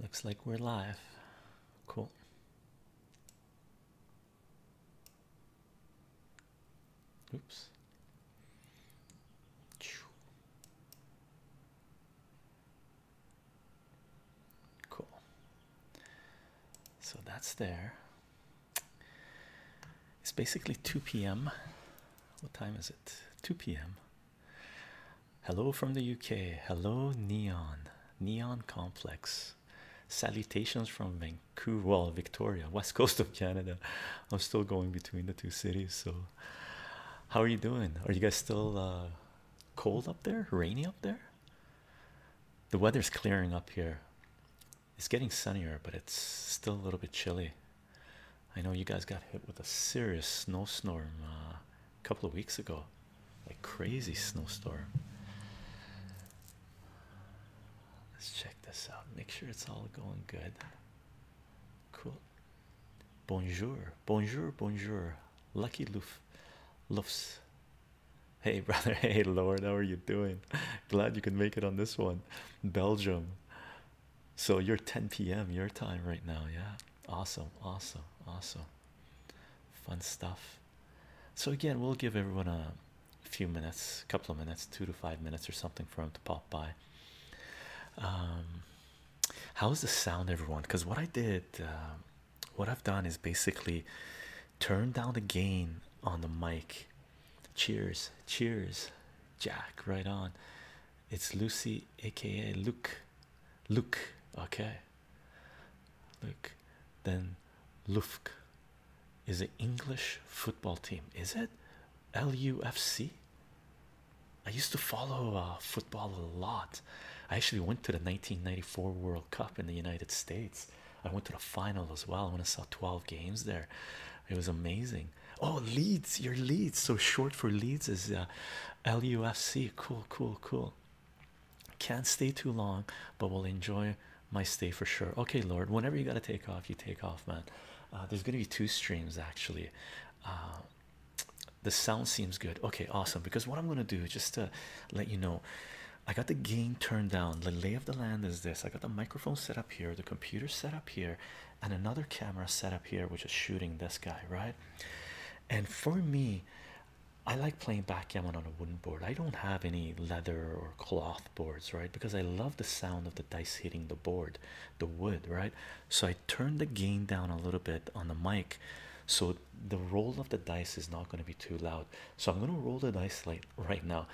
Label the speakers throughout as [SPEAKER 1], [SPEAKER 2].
[SPEAKER 1] Looks like we're live. Cool. Oops. Cool. So that's there. It's basically 2 p.m. What time is it? 2 p.m. Hello from the UK. Hello, Neon. Neon Complex. Salutations from Vancouver, Victoria, west coast of Canada. I'm still going between the two cities. So, how are you doing? Are you guys still uh, cold up there? Rainy up there? The weather's clearing up here. It's getting sunnier, but it's still a little bit chilly. I know you guys got hit with a serious snowstorm uh, a couple of weeks ago, like crazy snowstorm. Let's check this out. Make sure it's all going good. Cool. Bonjour, bonjour, bonjour. Lucky Loof, Loofs. Hey brother, hey Lord, how are you doing? Glad you could make it on this one. Belgium, so you're 10 p.m. your time right now, yeah. Awesome, awesome, awesome. Fun stuff. So again, we'll give everyone a few minutes, couple of minutes, two to five minutes or something for them to pop by. Um, how's the sound, everyone? Because what I did, uh, what I've done is basically turn down the gain on the mic Cheers, cheers, Jack. Right on. It's Lucy, aka Luke. Luke, okay. Luke. Then Lufk is an English football team. Is it LUFC? I used to follow uh, football a lot. I actually went to the 1994 World Cup in the United States. I went to the final as well. I want to saw 12 games there. It was amazing. Oh, Leeds, your Leeds. So short for Leeds is uh, LUFC. Cool, cool, cool. Can't stay too long, but we will enjoy my stay for sure. Okay, Lord, whenever you got to take off, you take off, man. Uh, there's going to be two streams actually. Uh, the sound seems good. Okay, awesome. Because what I'm going to do, just to let you know, I got the gain turned down. The lay of the land is this I got the microphone set up here, the computer set up here, and another camera set up here which is shooting this guy right and for me i like playing backgammon on a wooden board i don't have any leather or cloth boards right because i love the sound of the dice hitting the board the wood right so i turn the gain down a little bit on the mic so the roll of the dice is not going to be too loud so i'm going to roll the dice right now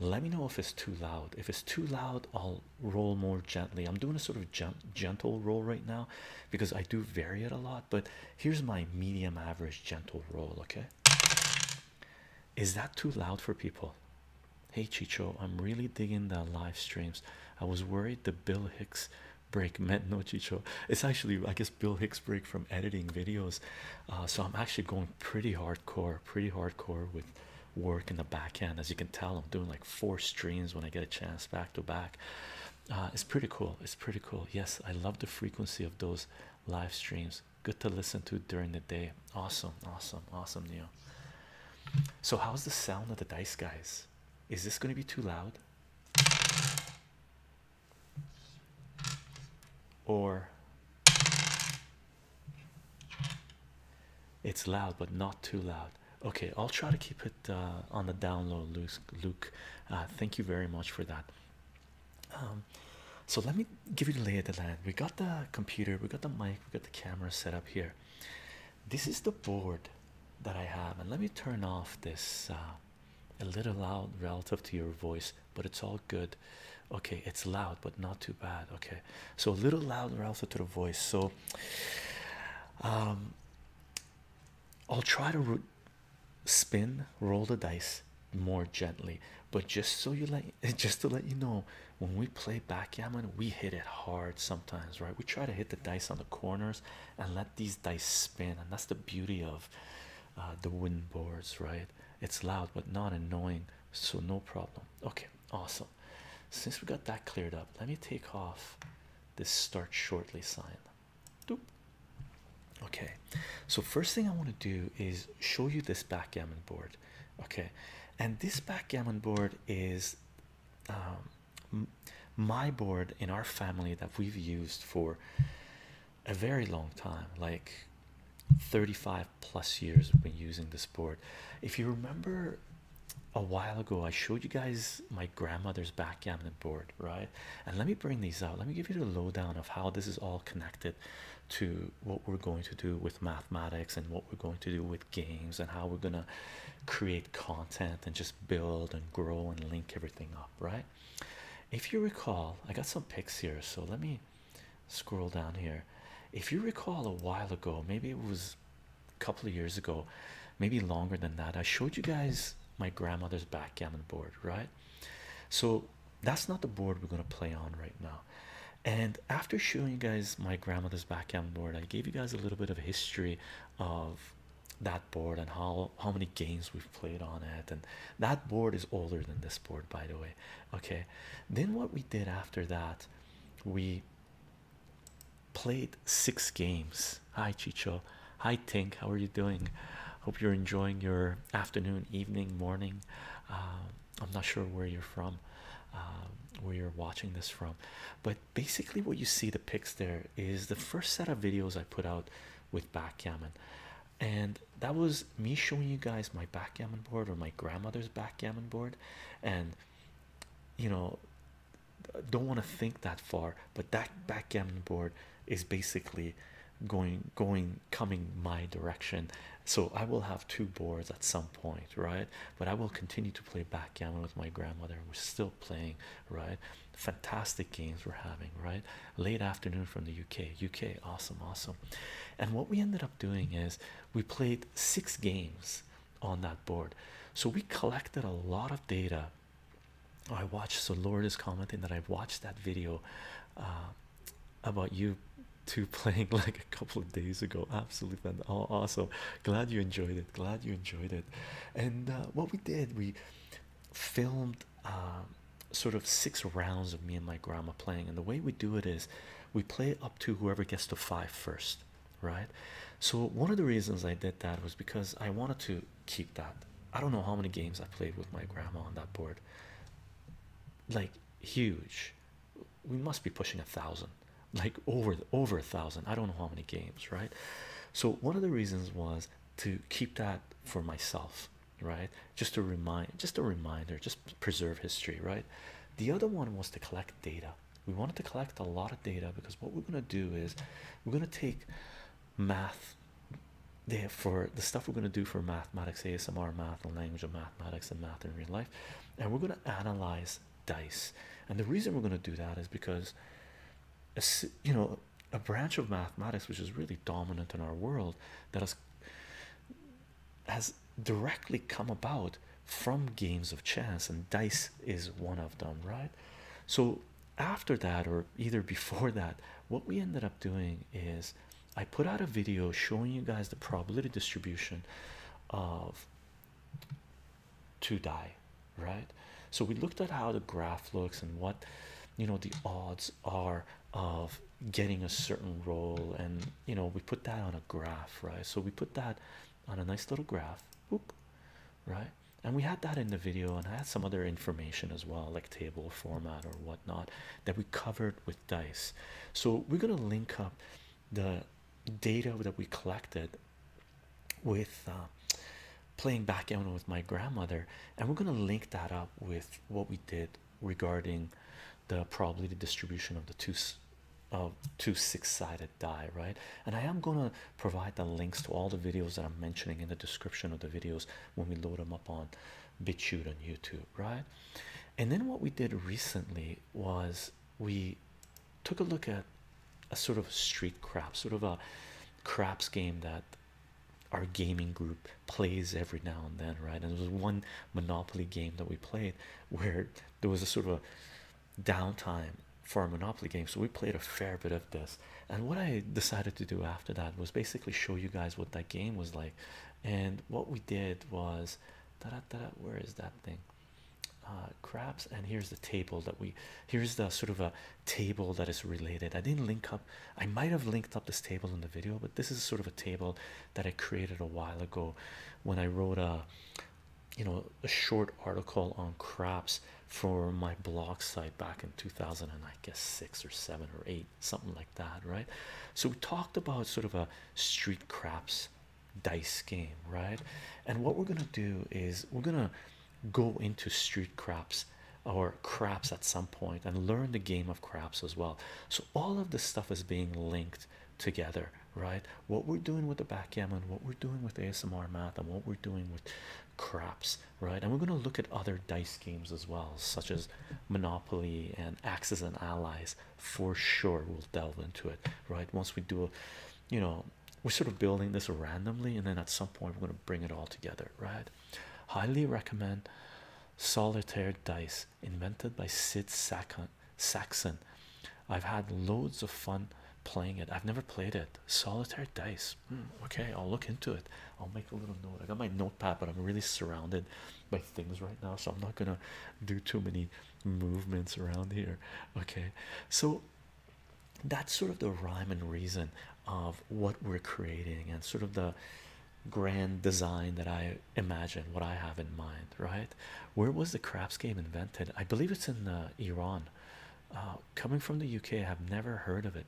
[SPEAKER 1] let me know if it's too loud if it's too loud i'll roll more gently i'm doing a sort of gentle roll right now because i do vary it a lot but here's my medium average gentle roll okay is that too loud for people hey chicho i'm really digging the live streams i was worried the bill hicks break meant no chicho it's actually i guess bill hicks break from editing videos uh, so i'm actually going pretty hardcore pretty hardcore with work in the back end. As you can tell, I'm doing like four streams when I get a chance back to back. Uh, it's pretty cool. It's pretty cool. Yes, I love the frequency of those live streams. Good to listen to during the day. Awesome, awesome, awesome, Neo. So, how's the sound of the dice, guys? Is this going to be too loud? Or it's loud, but not too loud. Okay, I'll try to keep it uh, on the down low, Luke. Uh, thank you very much for that. Um, so let me give you the lay of the land. We got the computer, we got the mic, we got the camera set up here. This is the board that I have, and let me turn off this uh, a little loud relative to your voice, but it's all good okay it's loud but not too bad okay so a little louder also to the voice so um i'll try to spin roll the dice more gently but just so you let, just to let you know when we play backgammon we hit it hard sometimes right we try to hit the dice on the corners and let these dice spin and that's the beauty of uh, the wooden boards right it's loud but not annoying so no problem okay awesome since we got that cleared up, let me take off this start shortly sign. Okay, so first thing I want to do is show you this backgammon board. Okay, and this backgammon board is um, my board in our family that we've used for a very long time like 35 plus years I've been using this board. If you remember a while ago, I showed you guys my grandmother's backgammon board, right? And let me bring these out. Let me give you the lowdown of how this is all connected to what we're going to do with mathematics and what we're going to do with games and how we're going to create content and just build and grow and link everything up, right? If you recall, I got some pics here, so let me scroll down here. If you recall a while ago, maybe it was a couple of years ago, maybe longer than that. I showed you guys my grandmother's backgammon board, right? So that's not the board we're going to play on right now. And after showing you guys my grandmother's backgammon board, I gave you guys a little bit of history of that board and how how many games we've played on it and that board is older than this board by the way okay then what we did after that we Played six games. Hi, Chicho. Hi, Tink. How are you doing? Hope you're enjoying your afternoon, evening, morning. Um, I'm not sure where you're from, um, where you're watching this from, but basically, what you see the pics there is the first set of videos I put out with backgammon, and that was me showing you guys my backgammon board or my grandmother's backgammon board, and you know don't want to think that far but that backgammon board is basically going going coming my direction so i will have two boards at some point right but i will continue to play backgammon with my grandmother we're still playing right fantastic games we're having right late afternoon from the uk uk awesome awesome and what we ended up doing is we played six games on that board. So we collected a lot of data. I watched, so Lord is commenting that I watched that video uh, about you two playing like a couple of days ago. Absolutely oh, awesome. Glad you enjoyed it. Glad you enjoyed it. And uh, what we did, we filmed um, sort of six rounds of me and my grandma playing. And the way we do it is we play up to whoever gets to five first right? So, one of the reasons I did that was because I wanted to keep that. I don't know how many games I played with my grandma on that board like huge. We must be pushing a thousand, like over over a thousand. I don't know how many games, right? So, one of the reasons was to keep that for myself right just to remind just a reminder just preserve history right the other one was to collect data we wanted to collect a lot of data because what we're going to do is we're going to take math there for the stuff we're going to do for mathematics asmr math and language of mathematics and math in real life and we're going to analyze dice and the reason we're going to do that is because a, you know a branch of mathematics which is really dominant in our world that has has directly come about from games of chance, and dice is one of them, right? So, after that, or either before that, what we ended up doing is I put out a video showing you guys the probability distribution of to die, right? So, we looked at how the graph looks and what you know the odds are of getting a certain roll, and you know we put that on a graph right so we put that on a nice little graph, whoop, right? And we had that in the video, and I had some other information as well, like table format or whatnot, that we covered with dice. So we're gonna link up the data that we collected with uh, playing back backgammon with my grandmother, and we're gonna link that up with what we did regarding the probability distribution of the two of two six-sided die right and i am going to provide the links to all the videos that i'm mentioning in the description of the videos when we load them up on bitchute on youtube right and then what we did recently was we took a look at a sort of street crap sort of a craps game that our gaming group plays every now and then right and there was one monopoly game that we played where there was a sort of a downtime for a Monopoly game, so we played a fair bit of this. And what I decided to do after that was basically show you guys what that game was like. And what we did was, da -da -da where is that thing? Uh, crabs, and here's the table that we here's the sort of a table that is related. I didn't link up, I might have linked up this table in the video, but this is sort of a table that I created a while ago when I wrote a you know a short article on craps for my blog site back in 2000 and I guess six or seven or eight something like that right so we talked about sort of a street craps dice game right and what we're gonna do is we're gonna go into street craps or craps at some point and learn the game of craps as well so all of this stuff is being linked together right? What we're doing with the backgammon, what we're doing with ASMR math, and what we're doing with craps, right? And we're going to look at other dice games as well, such as Monopoly and Axis and Allies. For sure, we'll delve into it, right? Once we do a, you know, we're sort of building this randomly, and then at some point, we're going to bring it all together, right? Highly recommend solitaire dice invented by Sid Sakan Saxon. I've had loads of fun playing it. I've never played it. Solitaire dice. Hmm, okay, I'll look into it. I'll make a little note. I got my notepad, but I'm really surrounded by things right now, so I'm not gonna do too many movements around here. Okay, so that's sort of the rhyme and reason of what we're creating and sort of the grand design that I imagine, what I have in mind, right? Where was the craps game invented? I believe it's in uh, Iran. Uh, coming from the UK, I have never heard of it.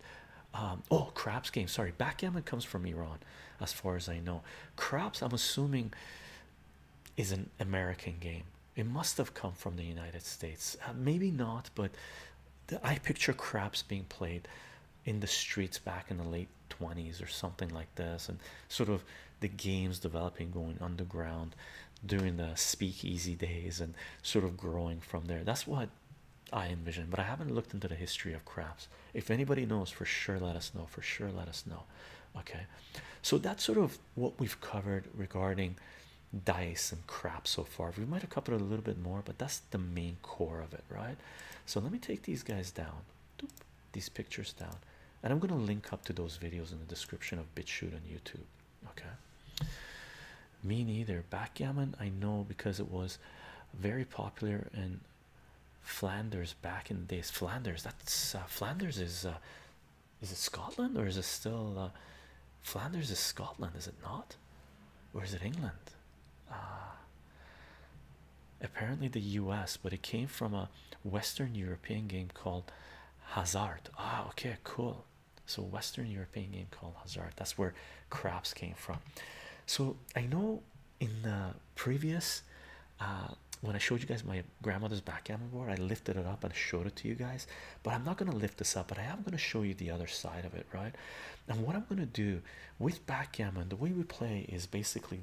[SPEAKER 1] Um, oh, craps game. Sorry, backgammon comes from Iran, as far as I know. Craps, I'm assuming, is an American game. It must have come from the United States. Uh, maybe not, but I picture craps being played in the streets back in the late 20s or something like this, and sort of the games developing, going underground, during the speakeasy days and sort of growing from there. That's what I envision, but I haven't looked into the history of craps. If anybody knows for sure, let us know. For sure, let us know. Okay, so that's sort of what we've covered regarding dice and crap so far. We might have covered a little bit more, but that's the main core of it, right? So let me take these guys down, these pictures down, and I'm going to link up to those videos in the description of BitChute on YouTube. Okay, me neither. Backgammon, I know because it was very popular in Flanders back in the days. Flanders, that's uh, Flanders is uh, is it Scotland or is it still uh, Flanders is Scotland, is it not? Or is it England? Uh, apparently the US, but it came from a Western European game called Hazard. Ah, okay, cool. So Western European game called Hazard. That's where craps came from. So I know in the previous uh, when I showed you guys my grandmother's backgammon board, I lifted it up and showed it to you guys. But I'm not gonna lift this up, but I am gonna show you the other side of it, right? And what I'm gonna do with backgammon, the way we play is basically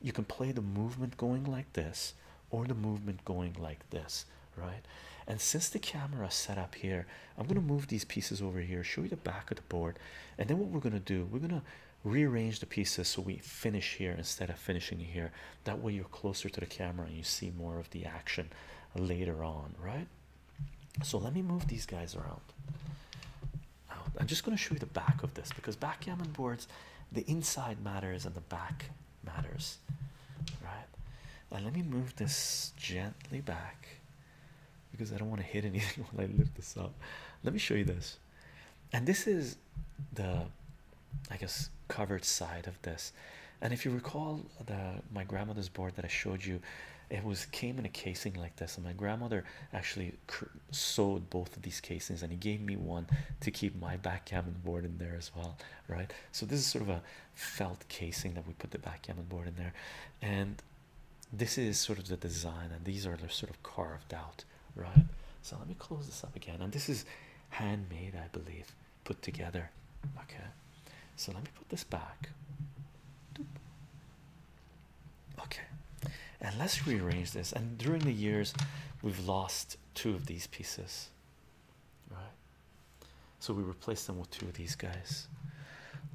[SPEAKER 1] you can play the movement going like this or the movement going like this, right? And since the camera set up here, I'm going to move these pieces over here, show you the back of the board, and then what we're going to do, we're going to rearrange the pieces so we finish here instead of finishing here. That way, you're closer to the camera and you see more of the action later on, right? So, let me move these guys around. I'm just going to show you the back of this because backgammon boards, the inside matters and the back matters, right? let me move this gently back because I don't want to hit anything when I lift this up. Let me show you this, and this is the, I guess, covered side of this. And if you recall the my grandmother's board that I showed you, it was came in a casing like this, and my grandmother actually sewed both of these casings, and he gave me one to keep my backgammon board in there as well, right? So this is sort of a felt casing that we put the backgammon board in there, and this is sort of the design, and these are they sort of carved out, right? So let me close this up again, and this is handmade, I believe, put together. Okay, so let me put this back. Okay, and let's rearrange this. And during the years, we've lost two of these pieces right? So we replace them with two of these guys.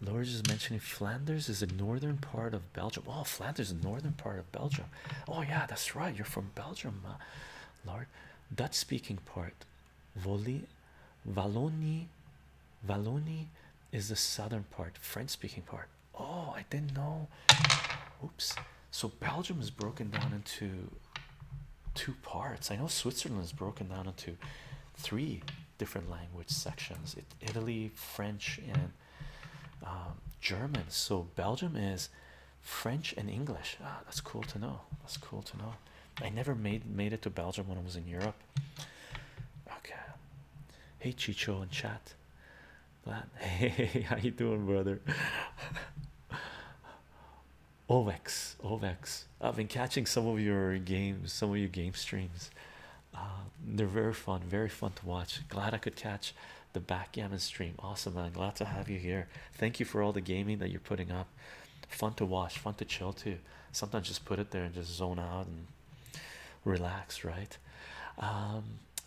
[SPEAKER 1] Lorge is mentioning Flanders is the northern part of Belgium. Oh, Flanders is the northern part of Belgium. Oh, yeah, that's right. You're from Belgium, uh, Lord. Dutch speaking part. Voli, Wallonie, Wallonie is the southern part, French speaking part. Oh, I didn't know. Oops, so Belgium is broken down into two parts. I know Switzerland is broken down into three different language sections: Italy, French, and um, German. So Belgium is French and English. Ah, that's cool to know. That's cool to know. I never made made it to Belgium when I was in Europe. Okay. Hey Chicho in chat. Hey, how you doing, brother? Ovex, Ovex. I've been catching some of your games, some of your game streams. Uh, they're very fun, very fun to watch. Glad I could catch the backgammon stream. Awesome, man. Glad to have you here. Thank you for all the gaming that you're putting up. Fun to watch, fun to chill too. Sometimes just put it there and just zone out and relax, right? Um,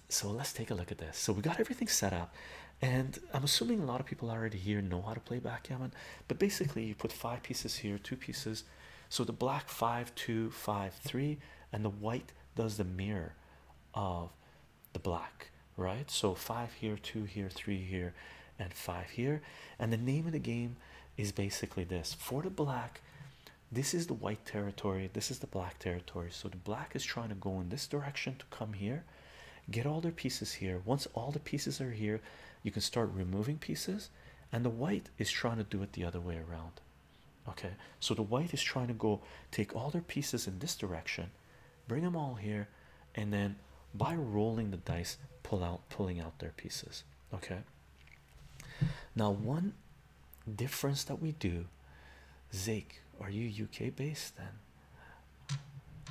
[SPEAKER 1] so let's take a look at this. So we got everything set up and I'm assuming a lot of people already here know how to play backgammon, but basically you put five pieces here, two pieces, so the black five, two, five, three, and the white does the mirror of the black, right? So five here, two here, three here, and five here, and the name of the game is basically this for the black. This is the white territory, this is the black territory. So the black is trying to go in this direction to come here, get all their pieces here once all the pieces are here you can start removing pieces and the white is trying to do it the other way around okay so the white is trying to go take all their pieces in this direction bring them all here and then by rolling the dice pull out pulling out their pieces okay now one difference that we do Zeke, are you uk based then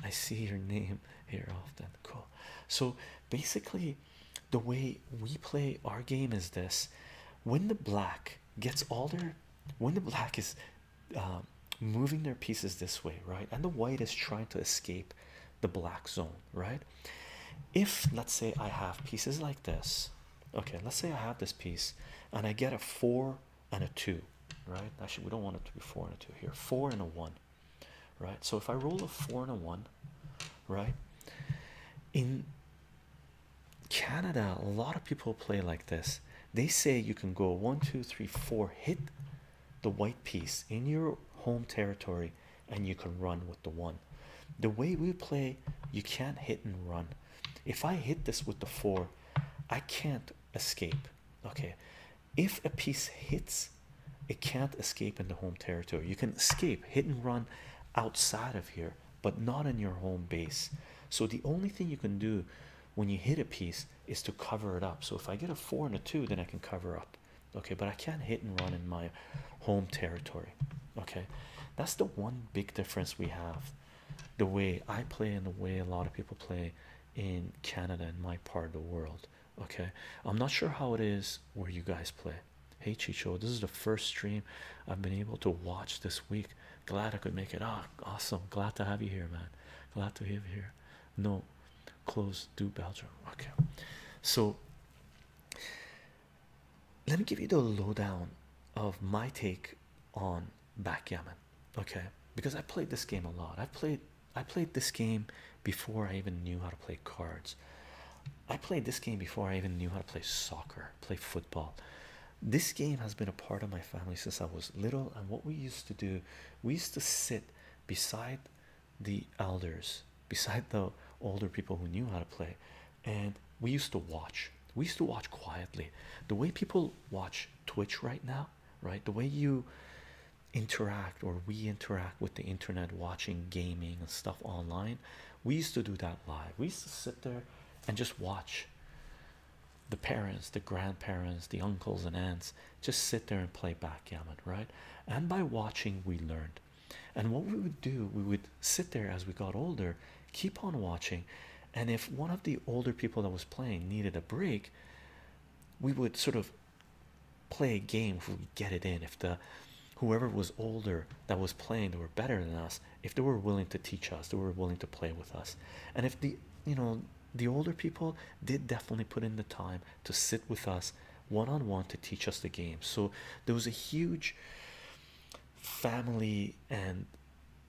[SPEAKER 1] I see your name here often. Cool. So basically, the way we play our game is this: when the black gets all their, when the black is um, moving their pieces this way, right, and the white is trying to escape the black zone, right. If let's say I have pieces like this, okay, let's say I have this piece, and I get a four and a 2 right actually we don't want it to be 4 and a 2 here 4 and a 1 right so if i roll a 4 and a 1 right in canada a lot of people play like this they say you can go one two three four hit the white piece in your home territory and you can run with the one the way we play you can't hit and run if i hit this with the four i can't escape okay if a piece hits, it can't escape in the home territory. You can escape, hit and run outside of here, but not in your home base. So the only thing you can do when you hit a piece is to cover it up. So if I get a four and a two, then I can cover up. Okay, but I can't hit and run in my home territory. Okay, that's the one big difference we have. The way I play and the way a lot of people play in Canada and my part of the world. Okay, I'm not sure how it is where you guys play. Hey Chicho, this is the first stream I've been able to watch this week. Glad I could make it. Ah, oh, awesome. Glad to have you here, man. Glad to have you here. No, close do Belgium. Okay, so let me give you the lowdown of my take on backgammon okay because i played this game a lot i played i played this game before i even knew how to play cards i played this game before i even knew how to play soccer play football this game has been a part of my family since i was little and what we used to do we used to sit beside the elders beside the older people who knew how to play and we used to watch we used to watch quietly the way people watch twitch right now right the way you interact or we interact with the internet watching gaming and stuff online we used to do that live we used to sit there and just watch the parents the grandparents the uncles and aunts just sit there and play backgammon right and by watching we learned and what we would do we would sit there as we got older keep on watching and if one of the older people that was playing needed a break we would sort of play a game if we get it in if the whoever was older that was playing they were better than us if they were willing to teach us they were willing to play with us and if the you know the older people did definitely put in the time to sit with us one -on -one to teach us the game so there was a huge family and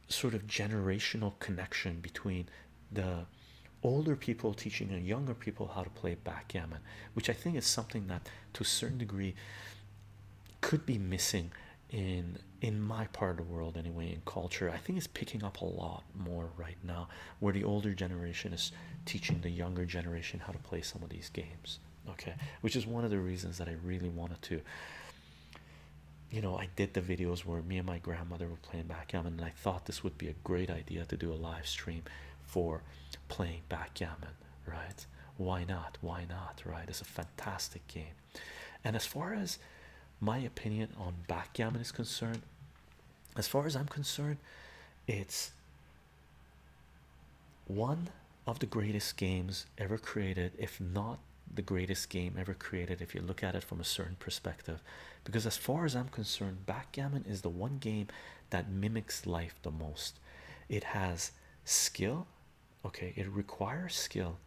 [SPEAKER 1] sort of generational connection between the older people teaching younger people how to play backgammon, which I think is something that to a certain degree could be missing in in my part of the world anyway in culture i think it's picking up a lot more right now where the older generation is teaching the younger generation how to play some of these games okay which is one of the reasons that i really wanted to you know i did the videos where me and my grandmother were playing backgammon and i I thought this would be a great idea to do a live stream for playing backgammon, right? Why not? Why not? Right? It's a fantastic game. And as far as my opinion on backgammon is concerned, as far as I'm concerned, it's one of the greatest games ever created, if not the greatest game ever created, if you look at it from a certain perspective because as far as i'm concerned backgammon is the one game that mimics life the most it has skill okay it requires skill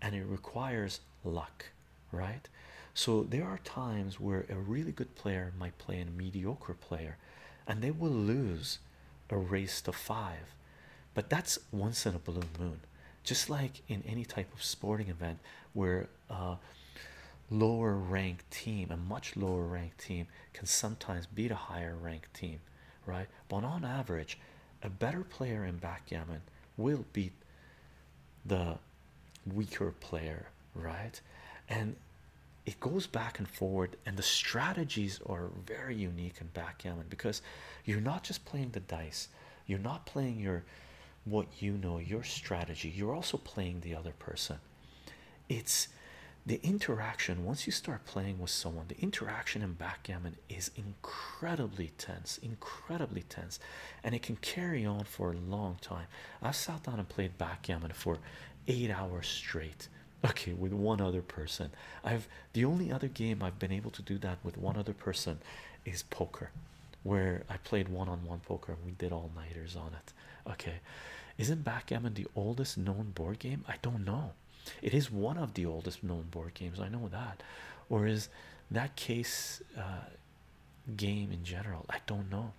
[SPEAKER 1] and it requires luck right so there are times where a really good player might play a mediocre player and they will lose a race to five but that's once in a blue moon just like in any type of sporting event where a lower ranked team, a much lower ranked team, can sometimes beat a higher ranked team, right? But on average, a better player in backgammon will beat the weaker player, right? And it goes back and forward, and the strategies are very unique in backgammon because you're not just playing the dice, you're not playing your what you know, your strategy. You're also playing the other person. It's the interaction once you start playing with someone, the interaction in backgammon is incredibly tense, incredibly tense, and it can carry on for a long time. i sat down and played backgammon for eight hours straight, okay, with one other person. I've the only other game I've been able to do that with one other person is poker, where I played one on one poker and we did all nighters on it. Okay, isn't backgammon the oldest known board game? I don't know. It is one of the oldest known board games. I know that, or is that case uh, game in general? I don't know.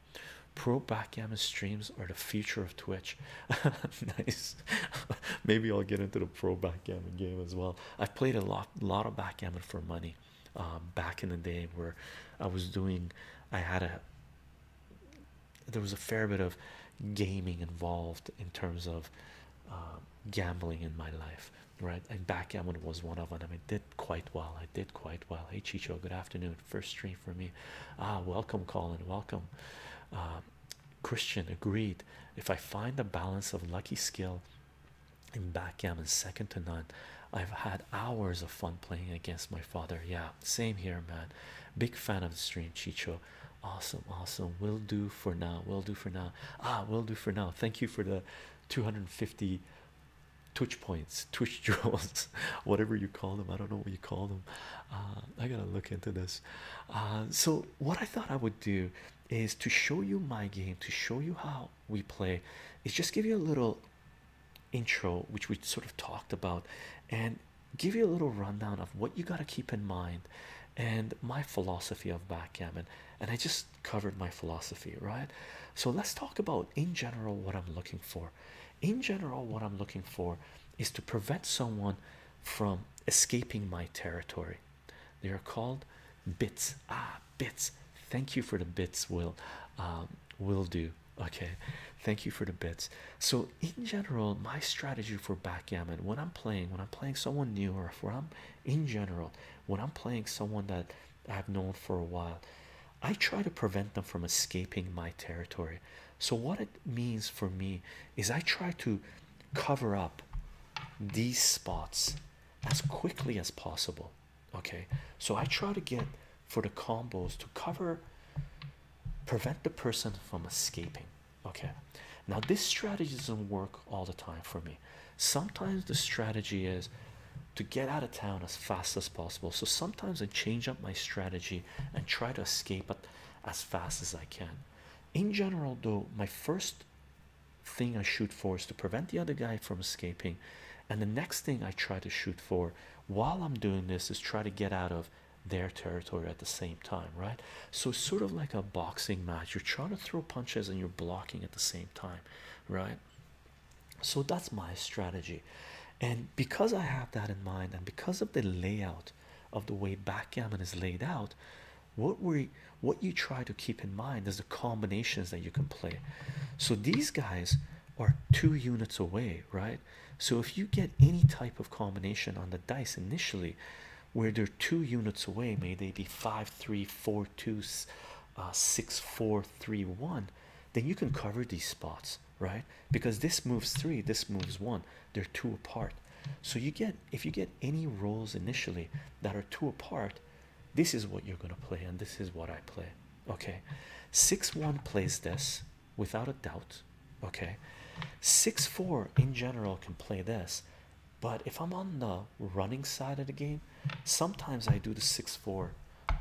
[SPEAKER 1] Pro backgammon streams are the future of Twitch. nice. Maybe I'll get into the pro backgammon game as well. I've played a lot, lot of backgammon for money. Um, back in the day where I was doing I had a there was a fair bit of gaming involved in terms of um, gambling in my life right and backgammon was one of them I did quite well I did quite well hey Chicho good afternoon first stream for me ah welcome Colin welcome um, Christian agreed if I find the balance of lucky skill in backgammon second to none I've had hours of fun playing against my father. Yeah, same here, man. Big fan of the stream, Chicho. Awesome, awesome. Will do for now. Will do for now. Ah, will do for now. Thank you for the 250 twitch points, twitch jewels, whatever you call them. I don't know what you call them. Uh, I gotta look into this. Uh, so, what I thought I would do is to show you my game, to show you how we play, is just give you a little intro which we sort of talked about and give you a little rundown of what you got to keep in mind and my philosophy of backgammon and i just covered my philosophy right so let's talk about in general what i'm looking for in general what i'm looking for is to prevent someone from escaping my territory they are called bits ah bits thank you for the bits will um, will do Okay, thank you for the bits. So, in general, my strategy for backgammon when I'm playing, when I'm playing someone new, or if I'm in general, when I'm playing someone that I've known for a while, I try to prevent them from escaping my territory. So, what it means for me is I try to cover up these spots as quickly as possible. Okay, so I try to get for the combos to cover prevent the person from escaping. Okay, now this strategy doesn't work all the time for me. Sometimes the strategy is to get out of town as fast as possible. So sometimes I change up my strategy and try to escape it as fast as I can. In general, though, my first thing I shoot for is to prevent the other guy from escaping, and the next thing I try to shoot for while I'm doing this is try to get out of their territory at the same time, right? So it's sort of like a boxing match. You're trying to throw punches and you're blocking at the same time, right? So that's my strategy. And because I have that in mind, and because of the layout of the way backgammon is laid out, what we what you try to keep in mind is the combinations that you can play. So these guys are two units away right? So if you get any type of combination on the dice initially, where they're two units away, may they be five, three, four, two, uh, six, four, three, one, then you can cover these spots, right? Because this moves three, this moves one, they're two apart. So you get if you get any rolls initially that are two apart, this is what you're gonna play, and this is what I play okay 6-1 plays this without a doubt okay 6-4 in general can play this but if i'm on the running side of the game sometimes i do the 6-4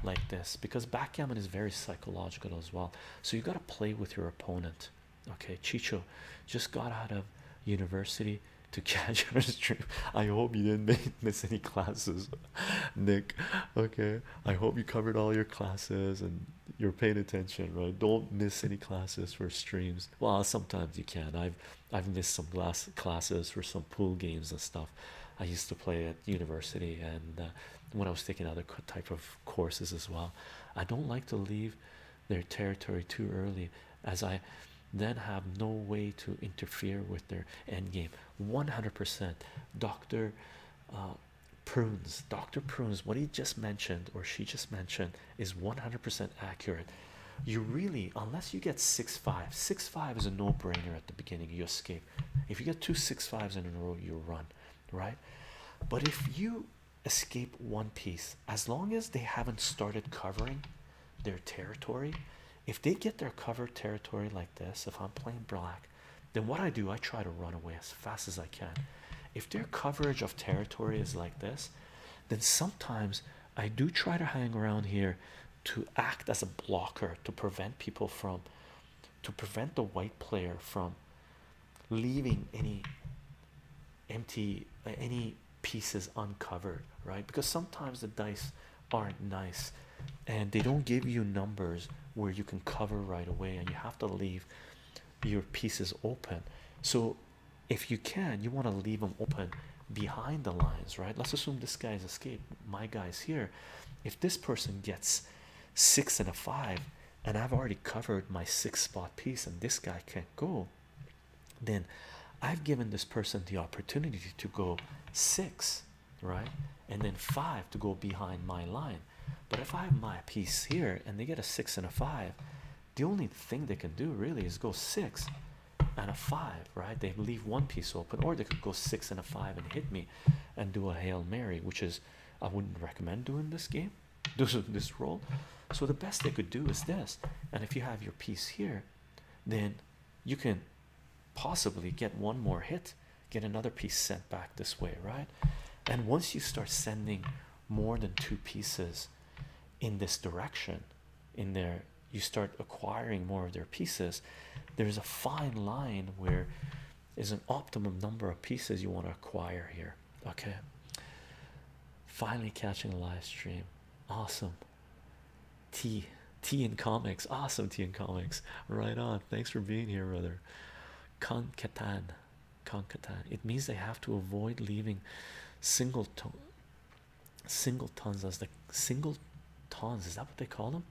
[SPEAKER 1] like this because backgammon is very psychological as well so you got to play with your opponent okay chicho just got out of university to catch your stream i hope you didn't miss any classes nick okay i hope you covered all your classes and you're paying attention right don't miss any classes for streams well sometimes you can i've i've missed some class classes for some pool games and stuff i used to play at university and uh, when i was taking other type of courses as well i don't like to leave their territory too early as i then have no way to interfere with their end game 100% dr Prunes, Dr. Prunes, what he just mentioned or she just mentioned is 100% accurate. You really, unless you get six five, six five is a no brainer at the beginning, you escape. If you get two six fives in a row, you run, right? But if you escape one piece, as long as they haven't started covering their territory, if they get their covered territory like this, if I'm playing black then what I do, I try to run away as fast as I can. If their coverage of territory is like this, then sometimes I do try to hang around here to act as a blocker to prevent people from to prevent the white player from leaving any empty uh, any pieces uncovered right because sometimes the dice aren't nice and they don't give you numbers where you can cover right away and you have to leave your pieces open so if you can you want to leave them open behind the lines right let's assume this guy's escaped my guy's here if this person gets six and a five and i've already covered my six spot piece and this guy can't go then i've given this person the opportunity to go six right? And then five to go behind my line. But if I have my piece here and they get a six and a five, the only thing they can do really is go six and a five, right? They leave one piece open, or they could go six and a five and hit me and do a Hail Mary, which is I wouldn't recommend doing this game, this, this roll. So the best they could do is this. And if you have your piece here, then you can possibly get one more hit get another piece sent back this way, right? And once you start sending more than two pieces in this direction, in there, you start acquiring more of their pieces. There's a fine line where is an optimum number of pieces you want to acquire here. Okay, finally catching the live stream. Awesome. T T in comics. Awesome T in comics. Right on. Thanks for being here, brother. Concatan. Concatan. It means they have to avoid leaving singletons. tone as the singletons is that what they call them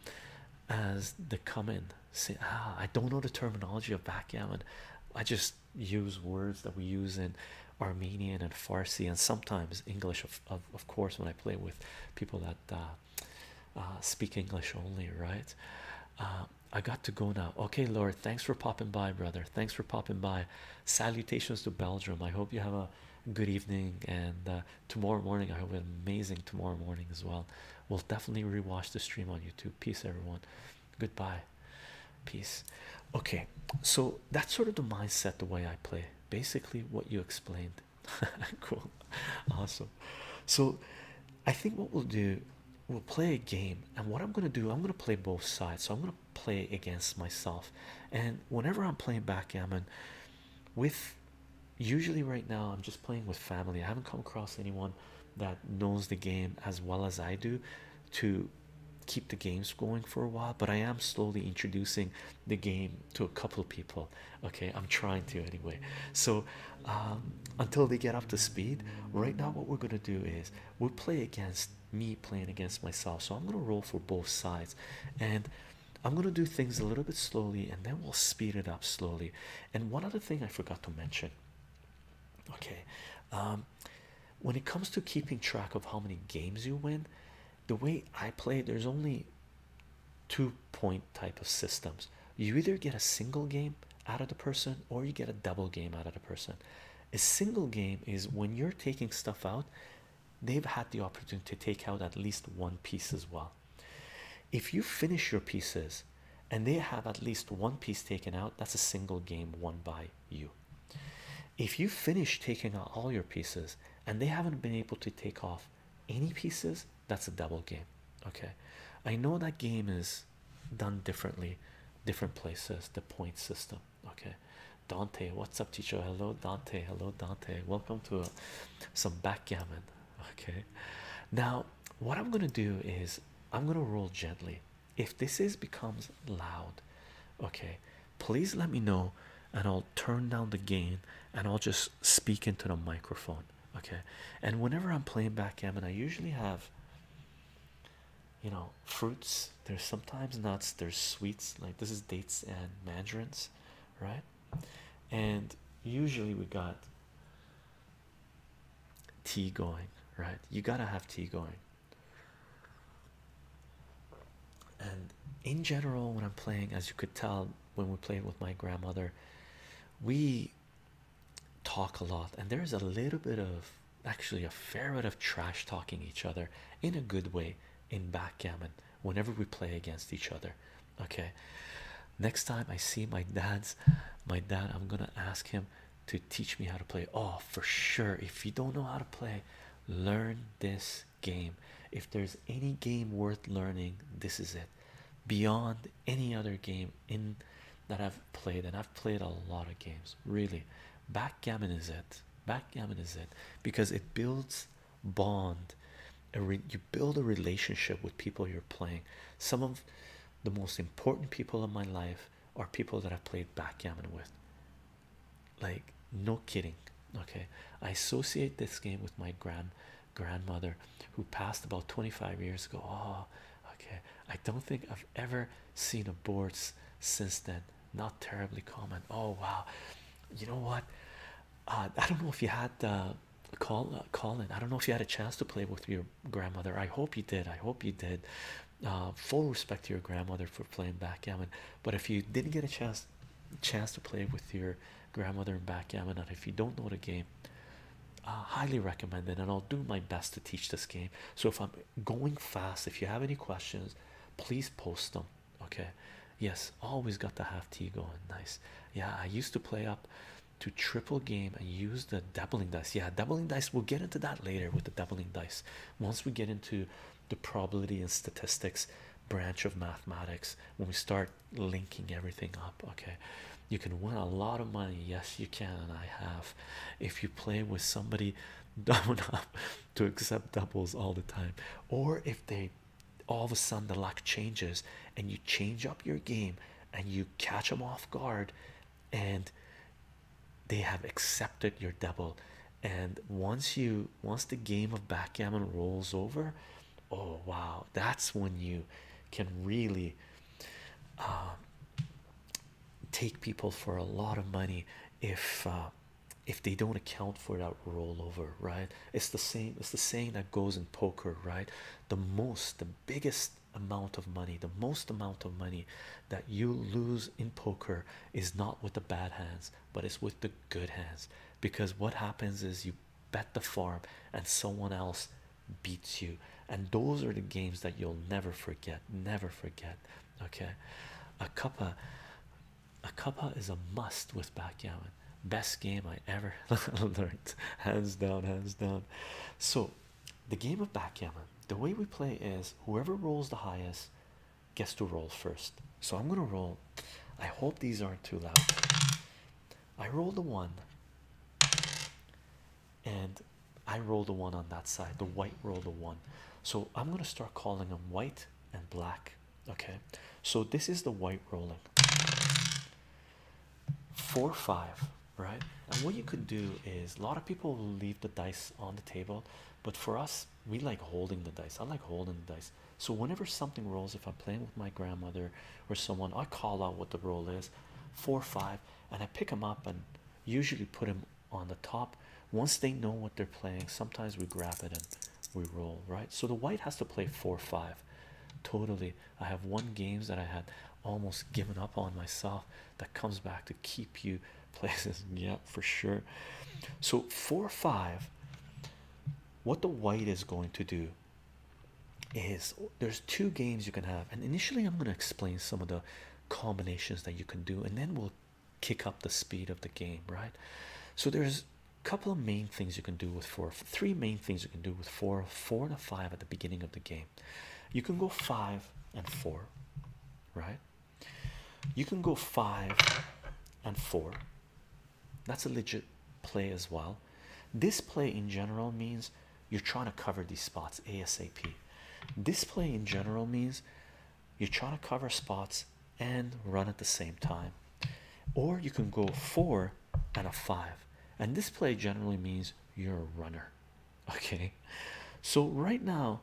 [SPEAKER 1] as they come in say ah i don't know the terminology of backgammon i just use words that we use in armenian and farsi and sometimes english of of, of course when i play with people that uh, uh, speak English only, right? Uh, I got to go now. Okay, Lord, thanks for popping by, brother. Thanks for popping by. Salutations to Belgium. I hope you have a good evening. And uh, tomorrow morning, I hope an amazing tomorrow morning as well. We'll definitely rewatch the stream on YouTube. Peace, everyone. Goodbye. Peace. Okay, so that's sort of the mindset, the way I play. Basically, what you explained. cool. Awesome. So, I think what we'll do, we'll play a game, and what I'm gonna do, I'm gonna play both sides. So I'm gonna play against myself, and whenever I'm playing backgammon, with usually right now I'm just playing with family. I haven't come across anyone that knows the game as well as I do to keep the games going for a while but i am slowly introducing the game to a couple people okay i'm trying to anyway so um, until they get up to speed. Right now, what we're going to do is we'll play against me playing against myself. So I'm going to roll for both sides and I'm going to do things a little bit slowly and then we'll speed it up slowly. And one other thing I forgot to mention okay, um, when it comes to keeping track of how many games you win, the way I play, there's only two point type of systems. You either get a single game out of the person or you get a double game out of the person. A single game is when you're taking stuff out, they've had the opportunity to take out at least one piece as well. If you finish your pieces and they have at least one piece taken out, that's a single game won by you. If you finish taking out all your pieces and they haven't been able to take off any pieces, that's a double game okay i know that game is done differently different places the point system okay dante what's up teacher hello dante hello dante welcome to some backgammon okay now what i'm going to do is i'm going to roll gently if this is becomes loud okay please let me know and i'll turn down the gain and i'll just speak into the microphone okay and whenever i'm playing backgammon i usually have you know fruits there's sometimes nuts there's sweets like this is dates and mandarins right and usually we got tea going right you gotta have tea going and in general when i'm playing as you could tell when we played with my grandmother we talk a lot, and there's a little bit of actually a fair bit of trash talking each other in a good way in backgammon whenever we play against each other. Okay, next time I see my dad's my dad, I'm gonna ask him to teach me how to play. Oh, for sure, if you don't know how to play, learn this game. If there's any game worth learning, this is it beyond any other game in that I've played, and I've played a lot of games. Really, backgammon is it? Backgammon is it because it builds bond. You build a relationship with people you're playing. Some of the most important people in my life are people that I have played backgammon with. Like no kidding. Okay, I associate this game with my grand grandmother who passed about 25 years ago. Oh, Okay, I don't think I've ever seen a board since then. Not terribly common. Oh wow, you know what? Uh, I don't know if you had uh, call uh, Colin. I don't know if you had a chance to play with your grandmother. I hope you did. I hope you did. Uh, full respect to your grandmother for playing backgammon. But if you didn't get a chance, chance to play with your grandmother in backgammon, and if you don't know the game, uh, highly recommend it, and I'll do my best to teach this game. So if I'm going fast, if you have any questions, please post them. Okay. Yes, always got the half tea going. Nice. Yeah, I used to play up to triple game and use the doubling dice. Yeah, doubling dice. We'll get into that later with the doubling dice. Once we get into the probability and statistics branch of mathematics, when we start linking everything up. Okay, you can win a lot of money yes you can and i have if you play with somebody dumb enough to accept doubles all the time or if they all of a sudden the luck changes and you change up your game and you catch them off guard and they have accepted your double and once you once the game of backgammon rolls over oh wow that's when you can really uh, take people for a lot of money if uh, if they don't account for that rollover right it's the same it's the saying that goes in poker right the most the biggest amount of money the most amount of money that you lose in poker is not with the bad hands but it's with the good hands because what happens is you bet the farm and someone else beats you and those are the games that you'll never forget never forget okay a cuppa a cuppa is a must with backgammon best game i ever learned hands down hands down so the game of backgammon the way we play is whoever rolls the highest gets to roll first so i'm gonna roll i hope these aren't too loud i rolled a one and I roll the one on that side, the white roll the one. So I'm going to start calling them white and black. Okay, so this is the white rolling four five, right? And what you could do is a lot of people leave the dice on the table, but for us, we like holding the dice. I like holding the dice. So whenever something rolls, if I'm playing with my grandmother or someone, I call out what the roll is four five, and I pick them up and usually put them on the top once they know what they're playing. Sometimes we grab it and we roll, right? So the white has to play four five totally. I have one games that I had almost given up on myself that comes back to keep you places, yeah, for sure. So, four five, what the white is going to do is there's two games you can have, and initially I'm going to explain some of the combinations that you can do, and then we'll kick up the speed of the game, right? So there's a couple of main things you can do with four, three main things you can do with four, four and a five at the beginning of the game. You can go five and four, right? You can go five and four. That's a legit play as well. This play in general means you're trying to cover these spots ASAP. Display in general means you're trying to cover spots and run at the same time, or you can go four and a five. And display generally means you're a runner, okay? So, right now,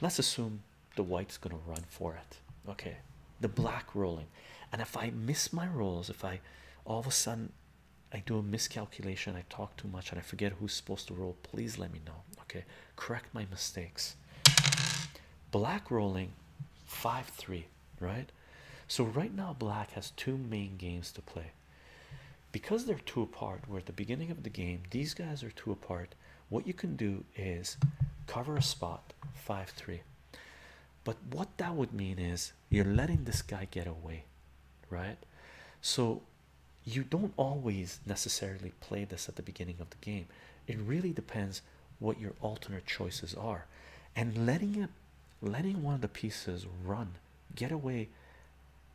[SPEAKER 1] let's assume the white's gonna run for it, okay? The black rolling, and if I miss my rolls, if I all of a sudden I do a miscalculation, I talk too much, and I forget who's supposed to roll. Please let me know. Okay, correct my mistakes. Black rolling 5 3, right? So, right now, black has two main games to play because they're two apart. Where at the beginning of the game, these guys are two apart. What you can do is cover a spot 5 3. But what that would mean is you're letting this guy get away, right? So you don't always necessarily play this at the beginning of the game. It really depends what your alternate choices are, and letting it, letting one of the pieces run, get away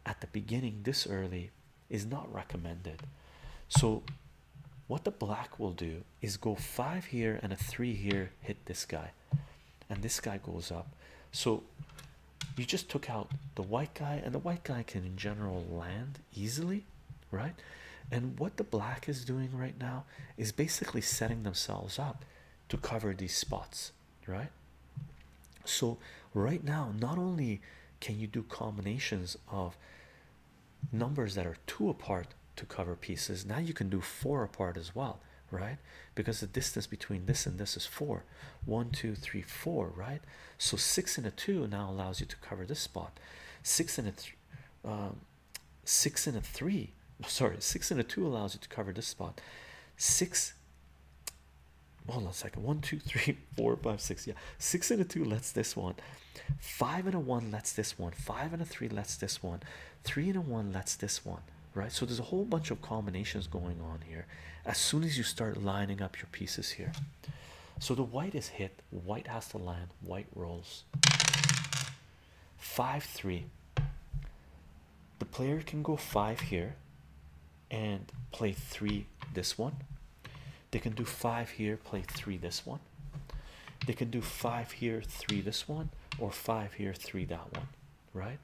[SPEAKER 1] at the beginning this early is not recommended. So, what the black will do is go five here and a three here, hit this guy, and this guy goes up. So, you just took out the white guy, and the white guy can, in general, land easily, right? And what the black is doing right now is basically setting themselves up to cover these spots, right? So, right now, not only can you do combinations of numbers that are two apart to cover pieces, now you can do four apart as well, right? Because the distance between this and this is four four one two three four right so six and a two now allows you to cover this spot six and a three um, six and a three sorry six and a two allows you to cover this spot six hold on a second one two three four five six yeah six and a two lets this one five and a one lets this one five and a three lets this one three and a one lets this one right so there's a whole bunch of combinations going on here as soon as you start lining up your pieces here. So the white is hit, white has to land, white rolls. 5 3. The player can go 5 here and play 3 this one. They can do 5 here, play 3 this one. They can do 5 here, 3 this one, or 5 here, 3 that one, right?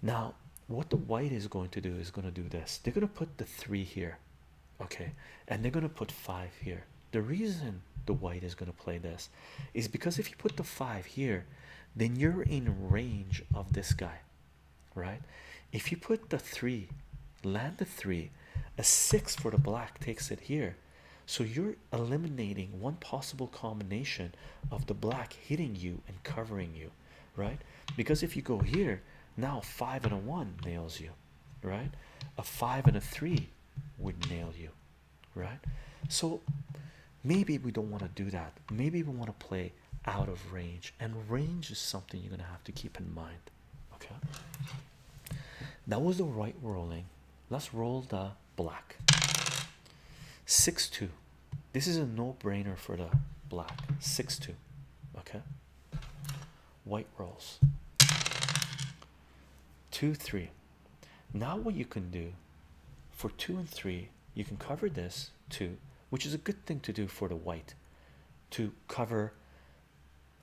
[SPEAKER 1] Now, what the white is going to do is going to do this they're going to put the three here okay and they're going to put five here the reason the white is going to play this is because if you put the five here then you're in range of this guy right if you put the three land the three a six for the black takes it here so you're eliminating one possible combination of the black hitting you and covering you right? Because if you go here now, a five and a one nails you, right? A five and a three would nail you, right? So maybe we don't want to do that. Maybe we want to play out of range, and range is something you're gonna have to keep in mind. Okay, that was the right rolling. Let's roll the black six two. This is a no-brainer for the black six two. Okay. White rolls two three. Now what you can do for two and three, you can cover this two, which is a good thing to do for the white, to cover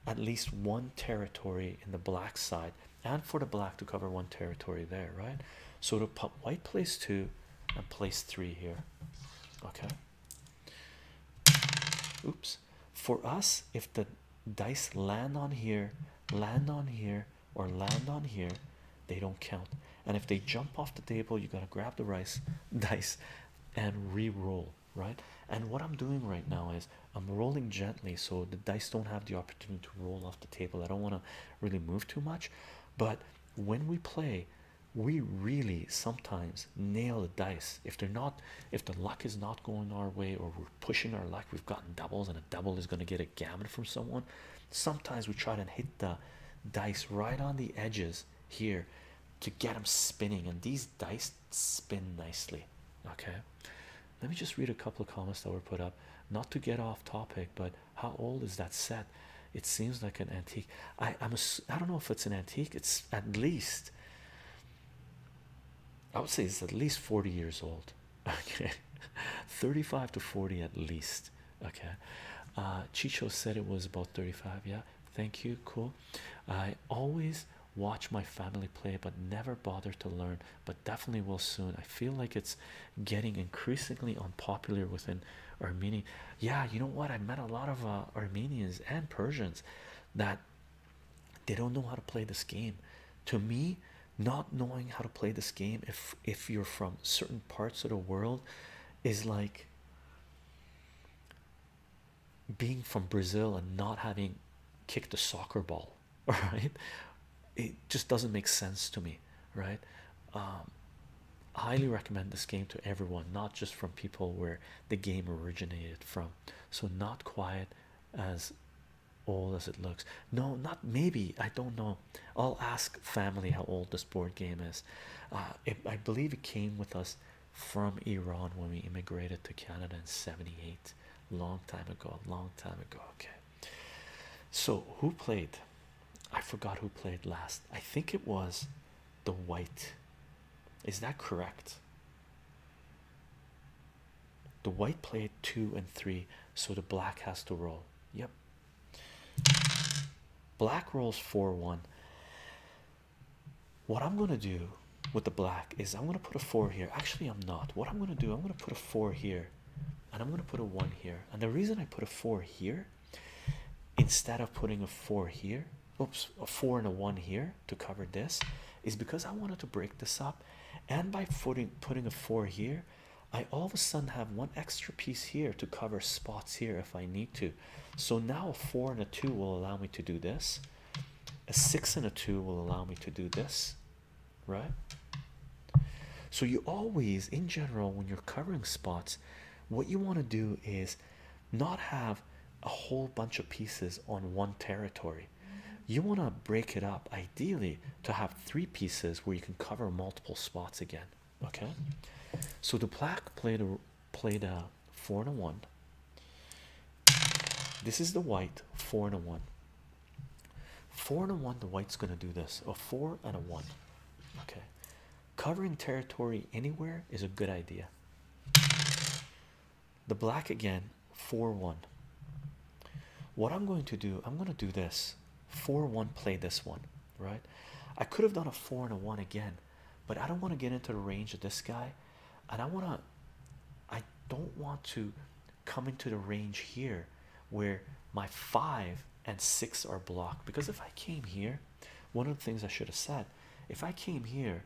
[SPEAKER 1] at least one territory in the black side and for the black to cover one territory there right so to put white place two and place three here okay oops for us if the dice land on here land on here or land on here they don't count and if they jump off the table you gotta grab the rice dice and re-roll right and what i'm doing right now is i'm rolling gently so the dice don't have the opportunity to roll off the table i don't want to really move too much but when we play we really sometimes nail the dice if they're not if the luck is not going our way or we're pushing our luck we've gotten doubles and a double is going to get a gammon from someone sometimes we try to hit the dice right on the edges here to get them spinning and these dice spin nicely okay let me just read a couple of comments that were put up not to get off topic but how old is that set it seems like an antique. I I'm a, I don't know if it's an antique. It's at least I would say it's at least 40 years old. Okay, 35 to 40 at least. Okay, uh, Chicho said it was about 35. Yeah, thank you. Cool. I always watch my family play, but never bother to learn. But definitely will soon. I feel like it's getting increasingly unpopular within Armenian. Yeah, you know what? I met a lot of uh, Armenians and Persians that they don't know how to play this game. To me, not knowing how to play this game, if if you're from certain parts of the world, is like being from Brazil and not having kicked a soccer ball. All right, it just doesn't make sense to me, right? Um, highly recommend this game to everyone, not just from people where the game originated from. So, not quite as old as it looks. No, not maybe. I don't know. I'll ask family how old this board game is. Uh, I believe it came with us from Iran when we immigrated to Canada in 78. Long time ago, long time ago. Okay. So, who played? I forgot who played last. I think it was the white. Is that correct? The white played two and three, so the black has to roll. Yep. Black rolls 4 1. What I'm going to do with the black is I'm going to put a 4 here. Actually, I'm not. What I'm going to do, I'm going to put a 4 here and I'm going to put a 1 here. And the reason I put a 4 here instead of putting a 4 here oops a four and a one here to cover this is because I wanted to break this up and by putting putting a four here I all of a sudden have one extra piece here to cover spots here if I need to so now a four and a two will allow me to do this a six and a two will allow me to do this right so you always in general when you're covering spots what you want to do is not have a whole bunch of pieces on one territory. You want to break it up ideally to have three pieces where you can cover multiple spots again. Okay, so the black played a played a four and a one. This is the white four and a one. Four and a one, the white's gonna do this. A four and a one. Okay, Covering territory anywhere is a good idea. The black again, 4 1. What I'm going to do, I'm going to do this 4 1, play this one, right? I could have done a 4 and a 1 again, but I don't want to get into the range of this guy, and I want to, I don't want to come into the range here where my 5 and 6 are blocked because if I came here, one of the things I should have said if I came here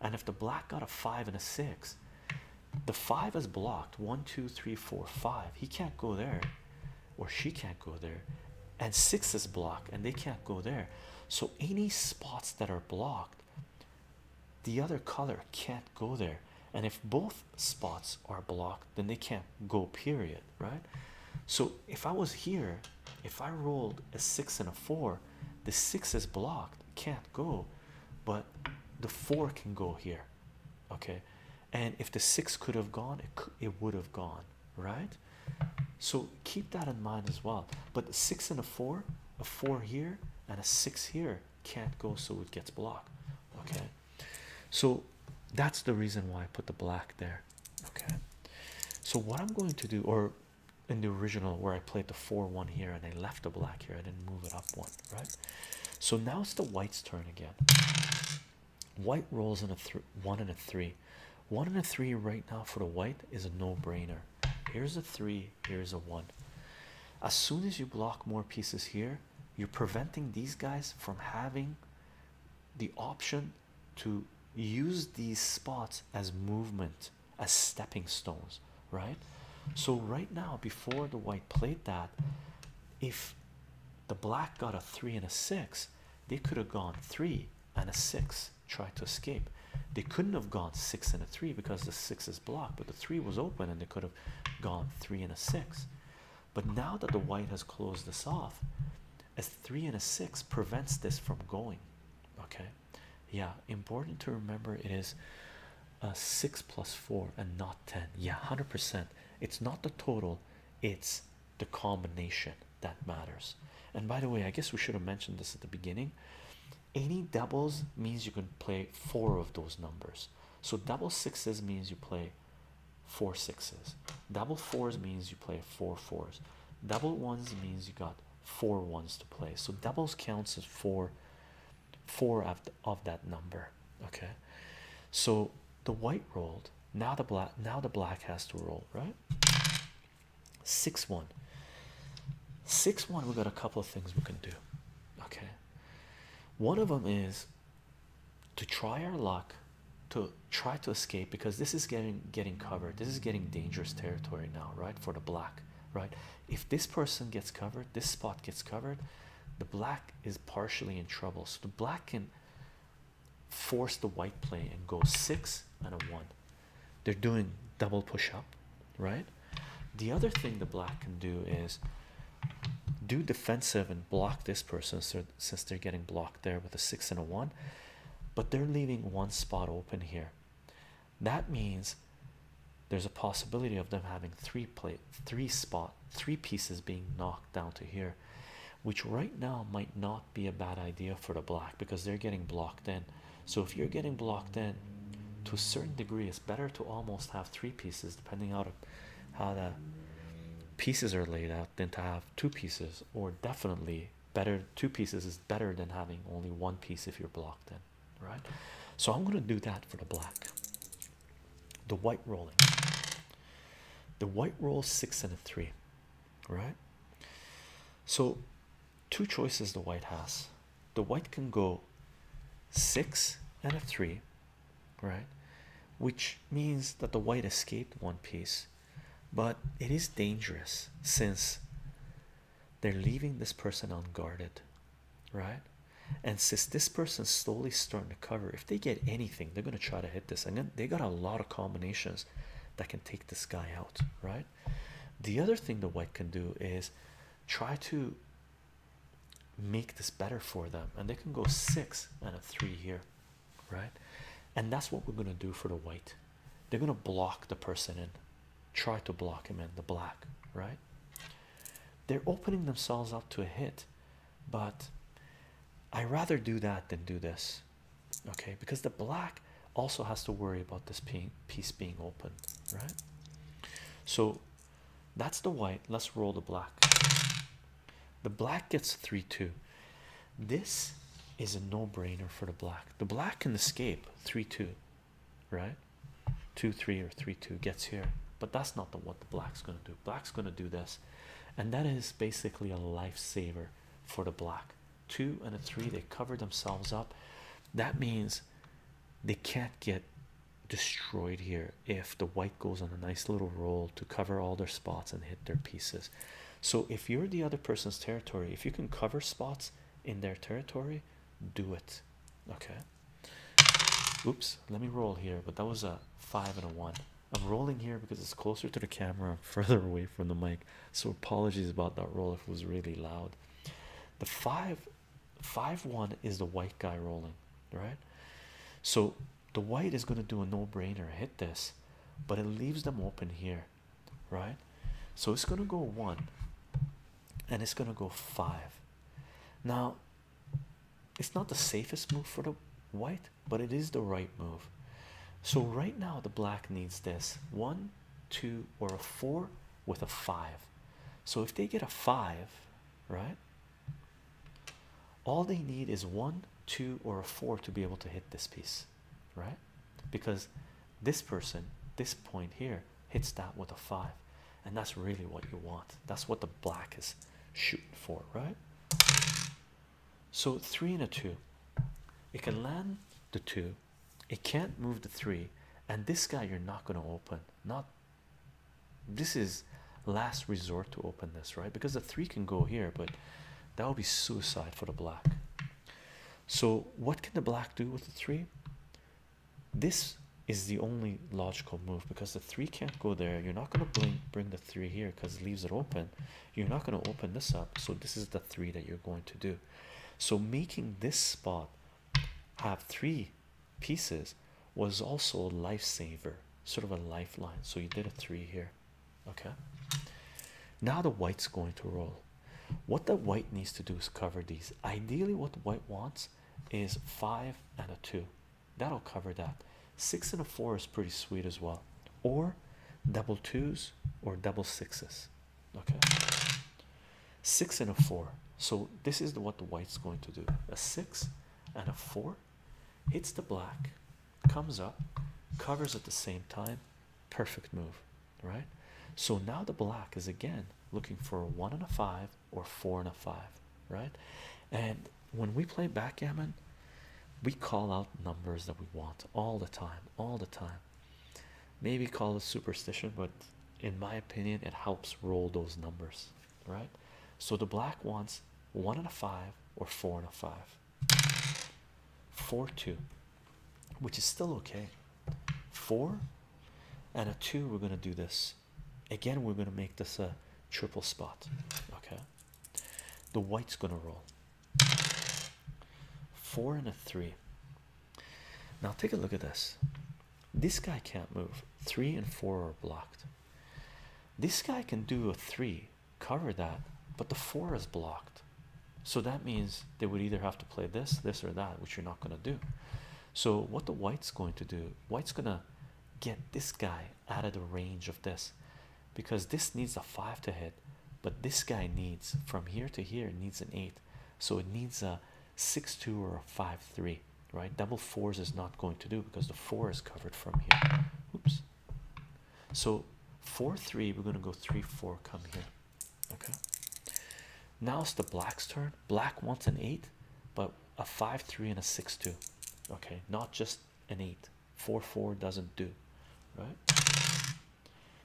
[SPEAKER 1] and if the black got a five and a six, the five is blocked one, two, three, four, five. He can't go there, or she can't go there, and six is blocked and they can't go there. So, any spots that are blocked, the other color can't go there. And if both spots are blocked, then they can't go, period. Right? So, if I was here if I rolled a six and a four, the six is blocked, can't go, but the four can go here. Okay, and if the six could have gone, it it would have gone, right? So keep that in mind as well. But the six and a four, a four here and a six here can't go, so it gets blocked. Okay, so that's the reason why I put the black there. Okay, so what I'm going to do, or in the original where I played the 4-1 here and I left the black here. I didn't move it up one, right? So now it's the white's turn again. White rolls in a three, one and a three. One and a three right now for the white is a no-brainer. Here's a three, here's a one. As soon as you block more pieces here, you're preventing these guys from having the option to use these spots as movement, as stepping stones, right? So, right now, before the white played that, if the black got a three and a six, they could have gone three and a six, tried to escape. They couldn't have gone six and a three because the six is blocked, but the three was open and they could have gone three and a six. But now that the white has closed this off, a three and a six prevents this from going. Okay, yeah, important to remember it is a six plus four and not ten. Yeah, 100%. It's not the total, it's the combination that matters. And by the way, I guess we should have mentioned this at the beginning. Any doubles means you can play four of those numbers. So double sixes means you play four sixes. Double fours means you play four fours. Double ones means you got four ones to play. So doubles counts as four, four of, of that number. Okay, so the white rolled. Now the black. Now the black has to roll, right? Six one. Six one. We got a couple of things we can do. Okay, one of them is to try our luck, to try to escape because this is getting getting covered this is getting dangerous territory now right for the black right if this person gets covered this spot gets covered the black is partially in trouble so the black can force the white play and go six and a one they're doing double push up right the other thing the black can do is do defensive and block this person so since they're getting blocked there with a six and a one but they're leaving one spot open here that means there's a possibility of them having three plate, three spot, three pieces being knocked down to here, which right now might not be a bad idea for the black because they're getting blocked in. So if you're getting blocked in to a certain degree, it's better to almost have three pieces depending on how the pieces are laid out than to have two pieces or definitely better two pieces is better than having only one piece if you're blocked in right so i'm going to do that for the black the white rolling the white roll six and a three right so two choices the white has the white can go six and a three right which means that the white escaped one piece but it is dangerous since they're leaving this person unguarded, right? And since this person's slowly starting to cover, if they get anything, they're going to try to hit this. And they got a lot of combinations that can take this guy out, right? The other thing the white can do is try to make this better for them, and they can go six and a three here, right? And that's what we're going to do for the white they're going to block the person in try to block him in the black right they're opening themselves up to a hit but i rather do that than do this okay because the black also has to worry about this piece being open right so that's the white let's roll the black the black gets 3-2 this is a no-brainer for the black the black can escape 3 2, right? 2 3 or 3 2 gets here, but that's not the, what the black's going to do. Black's going to do this, and that is basically a lifesaver for the black. 2 and a 3, they cover themselves up. That means they can't get destroyed here if the white goes on a nice little roll to cover all their spots and hit their pieces. So, if you're the other person's territory, if you can cover spots, in their territory, do it. Okay. Oops, let me roll here, but that was a five and a one. I'm rolling here because it's closer to the camera and further away from the mic. So apologies about that roll if it was really loud. The five five one is the white guy rolling, right? So the white is gonna do a no-brainer hit this, but it leaves them open here right? So it's going to go one and it's going to go five. Now, it's not the safest move for the white, but it is the right move. So, right now, the black needs this one, two, or a four with a five. So, if they get a five, right, all they need is one, two, or a four to be able to hit this piece right? Because this person, this point here, hits that with a five, and that's really what you want. That's what the black is shooting for, right? So, three and a two, it can land the two, it can't move the three, and this guy you're not going to open. Not this is last resort to open this, right? Because the three can go here, but that would be suicide for the black, so, what can the black do with the three? This is the only logical move because the three can't go there. You're not going to bring bring the three here because it leaves it open. You're not going to open this up. So, this is the three that you're going to do. So, making this spot have three pieces was also a lifesaver, sort of a lifeline. So, you did a three here. Okay, now the white's going to roll. What the white needs to do is cover these. Ideally, what white wants is five and a two. That'll cover that. Six and a four is pretty sweet as well, or double twos or double sixes. Okay, six and a four. So, this is what the white's going to do a six and a four hits the black, comes up, covers at the same time. Perfect move right? So now the black is again looking for a one and a five or four and a five, right? And when we play backgammon, we call out numbers that we want all the time, all the time. Maybe call it superstition, but in my opinion, it helps roll those numbers, right? So the black wants one and a five or four and a five. Four two which is still okay. Four and a two, we're going to do this again. We're going to make this a triple spot. Okay, the white's going to roll four and a three. Now, take a look at this. This guy can't move, three and four are blocked. This guy can do a three, cover that, but the four is blocked. So that means they would either have to play this, this, or that, which you're not going to do. So, what the white's going to do, white's going to get this guy out of the range of this because this needs a five to hit, but this guy needs from here to here needs an eight, so it needs a six two or a five three, right? Double fours is not going to do because the four is covered from here. Oops. So four three, we're going to go three four come here. Okay, now it's the black's turn. Black wants an eight, but a five, three, and a six, two. Okay, not just an eight, four, four doesn't do right.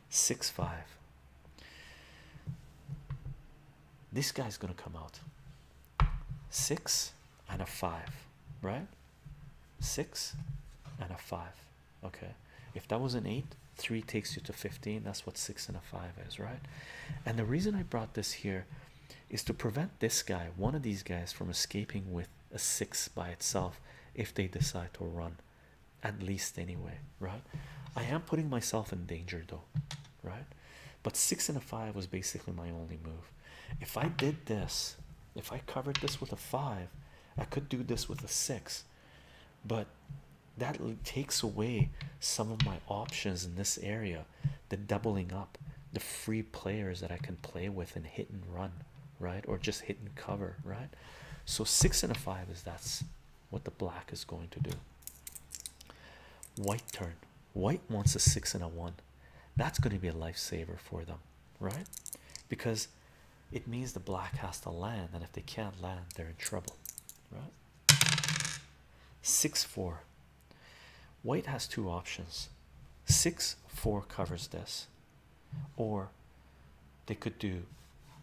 [SPEAKER 1] Six, five. This guy's gonna come out six and a five, right? Six and a five. Okay, if that was an 8 3 takes you to 15 that's what 6 and a 5 is right and the reason i brought this here is to prevent this guy one of these guys from escaping with a 6 by itself if they decide to run at least anyway right i am putting myself in danger though right but 6 and a 5 was basically my only move if i did this if i covered this with a 5 i could do this with a 6 but that takes away some of my options in this area the doubling up the free players that I can play with and hit and run right or just hit and cover right so six and a five is that's what the black is going to do white turn white wants a six and a one that's going to be a lifesaver for them right because it means the black has to land and if they can't land they're in trouble right? 6 4. White has two options 6 4 covers this, or they could do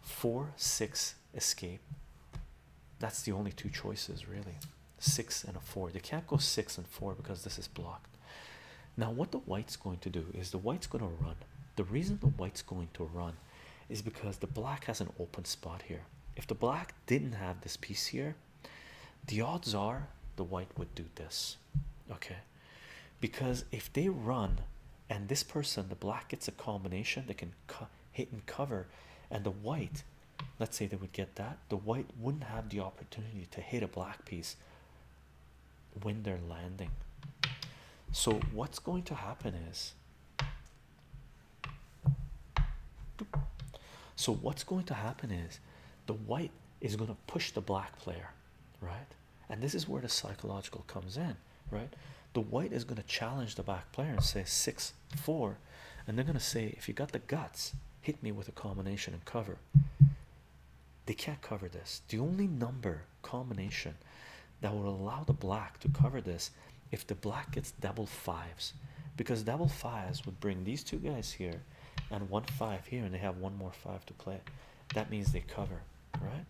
[SPEAKER 1] 4 6 escape. That's the only two choices, really. 6 and a 4. They can't go 6 and 4 because this is blocked. Now, what the white's going to do is the white's going to run. The reason the white's going to run is because the black has an open spot here. If the black didn't have this piece here, the odds are the white would do this, okay? Because if they run and this person, the black, gets a combination, they can hit and cover, and the white, let's say they would get that, the white wouldn't have the opportunity to hit a black piece when they're landing. So, what's going to happen is so, what's going to happen is the white is going to push the black player, right? And this is where the psychological comes in, right? The white is going to challenge the black player and say six, four, and they're going to say, if you got the guts, hit me with a combination and cover. They can't cover this. The only number combination that would allow the black to cover this if the black gets double fives because double fives would bring these two guys here and one five here and they have one more five to play that means they cover right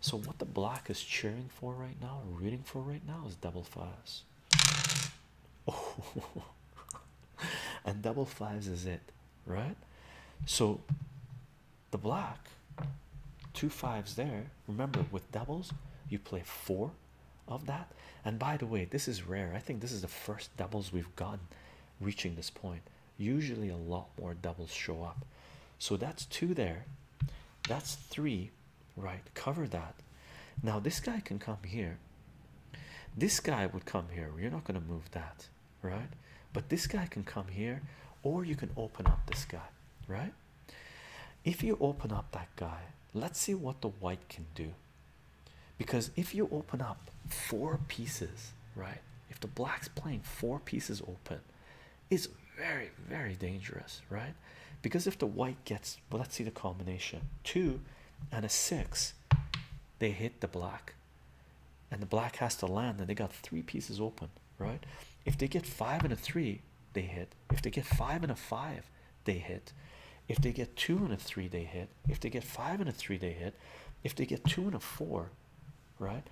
[SPEAKER 1] so what the black is cheering for right now or rooting for right now is double fives oh and double fives is it right so the black two fives there. Remember, with doubles, you play four of that. And by the way, this is rare. I think this is the first doubles we've gotten reaching this point. Usually, a lot more doubles show up. So that's two there. That's three, right? Cover that. Now, this guy can come here. This guy would come here. You're not going to move that, right? But this guy can come here, or you can open up this guy, right? If you open up that guy, let's see what the white can do. Because if you open up four pieces, right? If the black's playing four pieces open, it's very, very dangerous, right? Because if the white gets, well, let's see the combination two and a six, they hit the black, and the black has to land, and they got three pieces open right? If they get five and a three, they hit. If they get five and a five, they hit. If they get two and a three, they hit. If they get five and a three, they hit. If they get two and a four, right?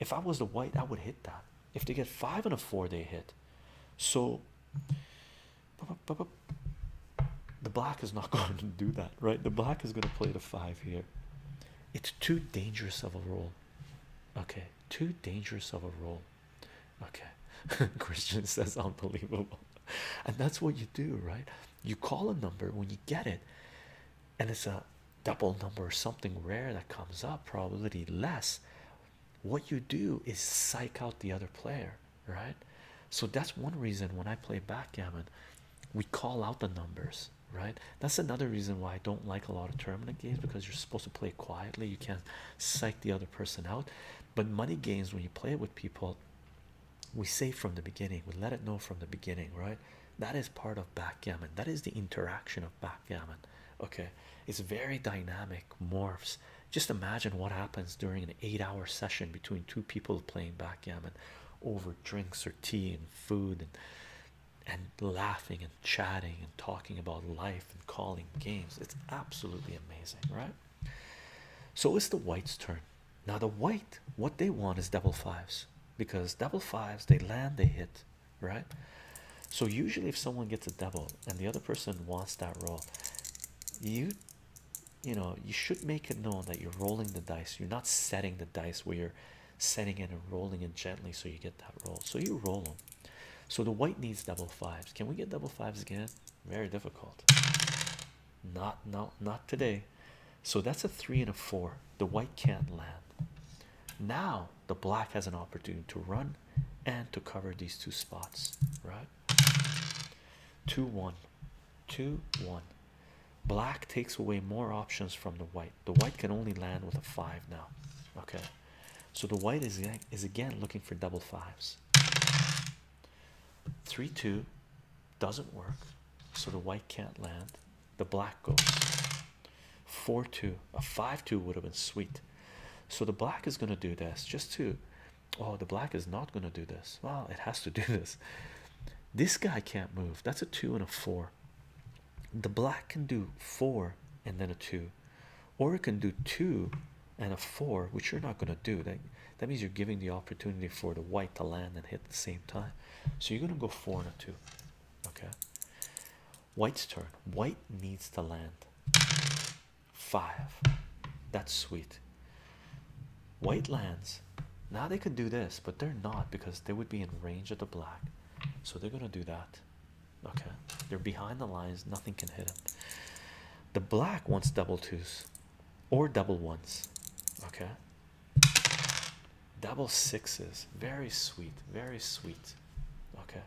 [SPEAKER 1] If I was the white, I would hit that. If they get five and a four, they hit. So the black is not going to do that, right? The black is going to play the five here. It's too dangerous of a roll. Okay, too dangerous of a roll. Okay, Christian says unbelievable, and that's what you do, right? You call a number when you get it, and it's a double number or something rare that comes up, probability less. What you do is psych out the other player, right? So that's one reason when I play backgammon, we call out the numbers, right? That's another reason why I don't like a lot of tournament games because you're supposed to play quietly, you can't psych the other person out. But money games, when you play it with people, we say from the beginning, we let it know from the beginning, right? That is part of backgammon. That is the interaction of backgammon. Okay, it's very dynamic, morphs. Just imagine what happens during an eight hour session between two people playing backgammon over drinks or tea and food and, and laughing chatting and talking about life and calling games. It's absolutely amazing, right? So it's the white's turn. Now, the white, what they want is double fives because double fives they land, they hit, right? So, usually, if someone gets a double and the other person wants that roll, you you know you should make it known that you're rolling the dice you're not setting the dice where you're setting it and rolling it gently so you get that roll so you roll them so the white needs double fives. Can we get double fives again? Very difficult. Not no not today. So that's a three and a four. The white can't land. Now the black has an opportunity to run and to cover these two spots, right? Two one, two one. Black takes away more options from the white. The white can only land with a five now. Okay. So the white is is again looking for double fives. Three two doesn't work, so the white can't land. The black goes four two. A five two would have been sweet. So the black is gonna do this just to. Oh, the black is not gonna do this. Well, it has to do this. This guy can't move. That's a two and a four. The black can do four and then a two or it can do two and a four, which you're not going to do. That that means you're giving the opportunity for the white to land and hit at the same time. So you're going to go four and a two. Okay. White's turn. White needs to land five. That's sweet. White lands. Now they could do this, but they're not because they would be in range of the black. So they're going to do that. Okay, they're behind the lines, nothing can hit them. The black wants double twos or double ones. Okay, double sixes, very sweet, very sweet. Okay,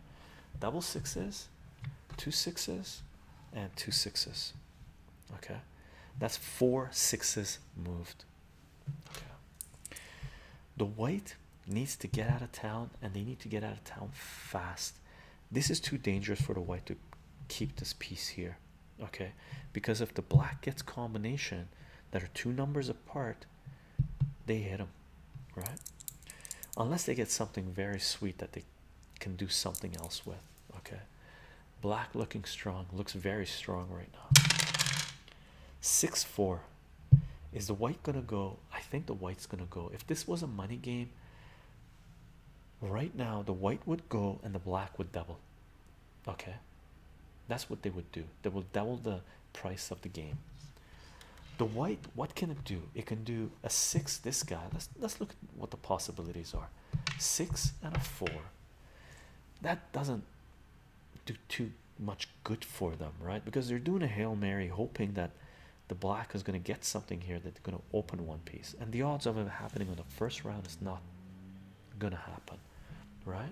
[SPEAKER 1] double sixes, two sixes, and two sixes. Okay, that's four sixes moved. Okay, the white needs to get out of town and they need to get out of town fast this is too dangerous for the white to keep this piece here, okay? Because if the black gets combination that are two numbers apart, they hit them, right? Unless they get something very sweet that they can do something else with, okay? Black looking strong, looks very strong right now. 6 4. Is the white gonna go? I think the white's gonna go. If this was a money game, right now the white would go and the black would double okay that's what they would do they will double the price of the game the white what can it do it can do a six this guy let's let's look at what the possibilities are six and a four that doesn't do too much good for them right because they're doing a hail mary hoping that the black is going to get something here that they're going to open one piece and the odds of it happening on the first round is not going to happen right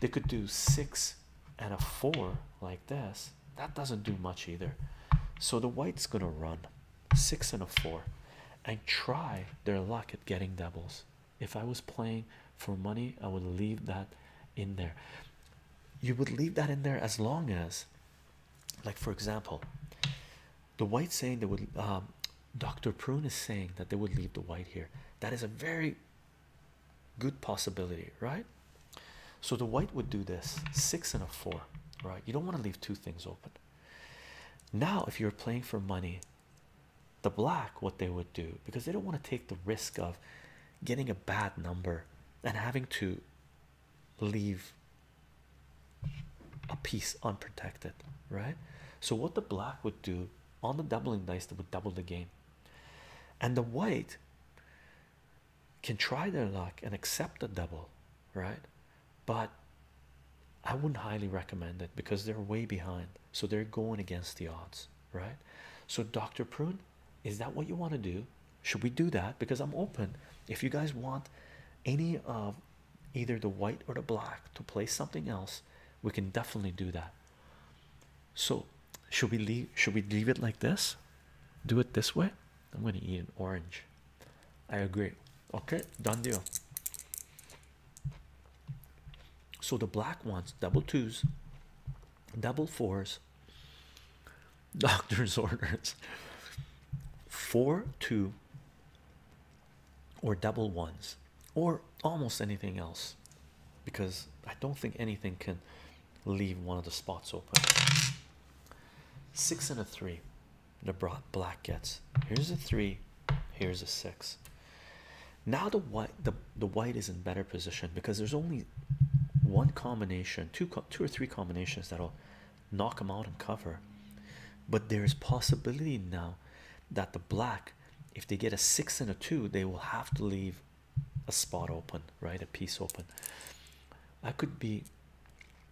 [SPEAKER 1] they could do six and a four like this that doesn't do much either so the white's going to run six and a four and try their luck at getting doubles if i was playing for money i would leave that in there you would leave that in there as long as like, for example, the white saying that would, um, Dr. Prune is saying that they would leave the white here. That is a very good possibility, right? So the white would do this six and a four, right? You don't want to leave two things open. Now, if you were playing for money, the black, what they would do because they don't want to take the risk of getting a bad number and having to leave a piece unprotected, right? So, what the black would do on the doubling dice, that would double the game, and the white can try their luck and accept the double, right? But I wouldn't highly recommend it because they're way behind, so they're going against the odds, right? So, Dr. Prune, is that what you want to do? should we do that because i'm open if you guys want any of either the white or the black to play something else we can definitely do that so should we leave should we leave it like this do it this way i'm going to eat an orange i agree okay done deal so the black ones double twos double fours doctor's orders four two or double ones or almost anything else because I don't think anything can leave one of the spots open. Six and a three, the black gets. Here's a three, here's a six. Now the white, the the white is in better position because there's only one combination, two two or three combinations that'll knock them out and cover. But there is possibility now that the black, if they get a six and a two, they will have to leave a spot open, right? A piece open. That could be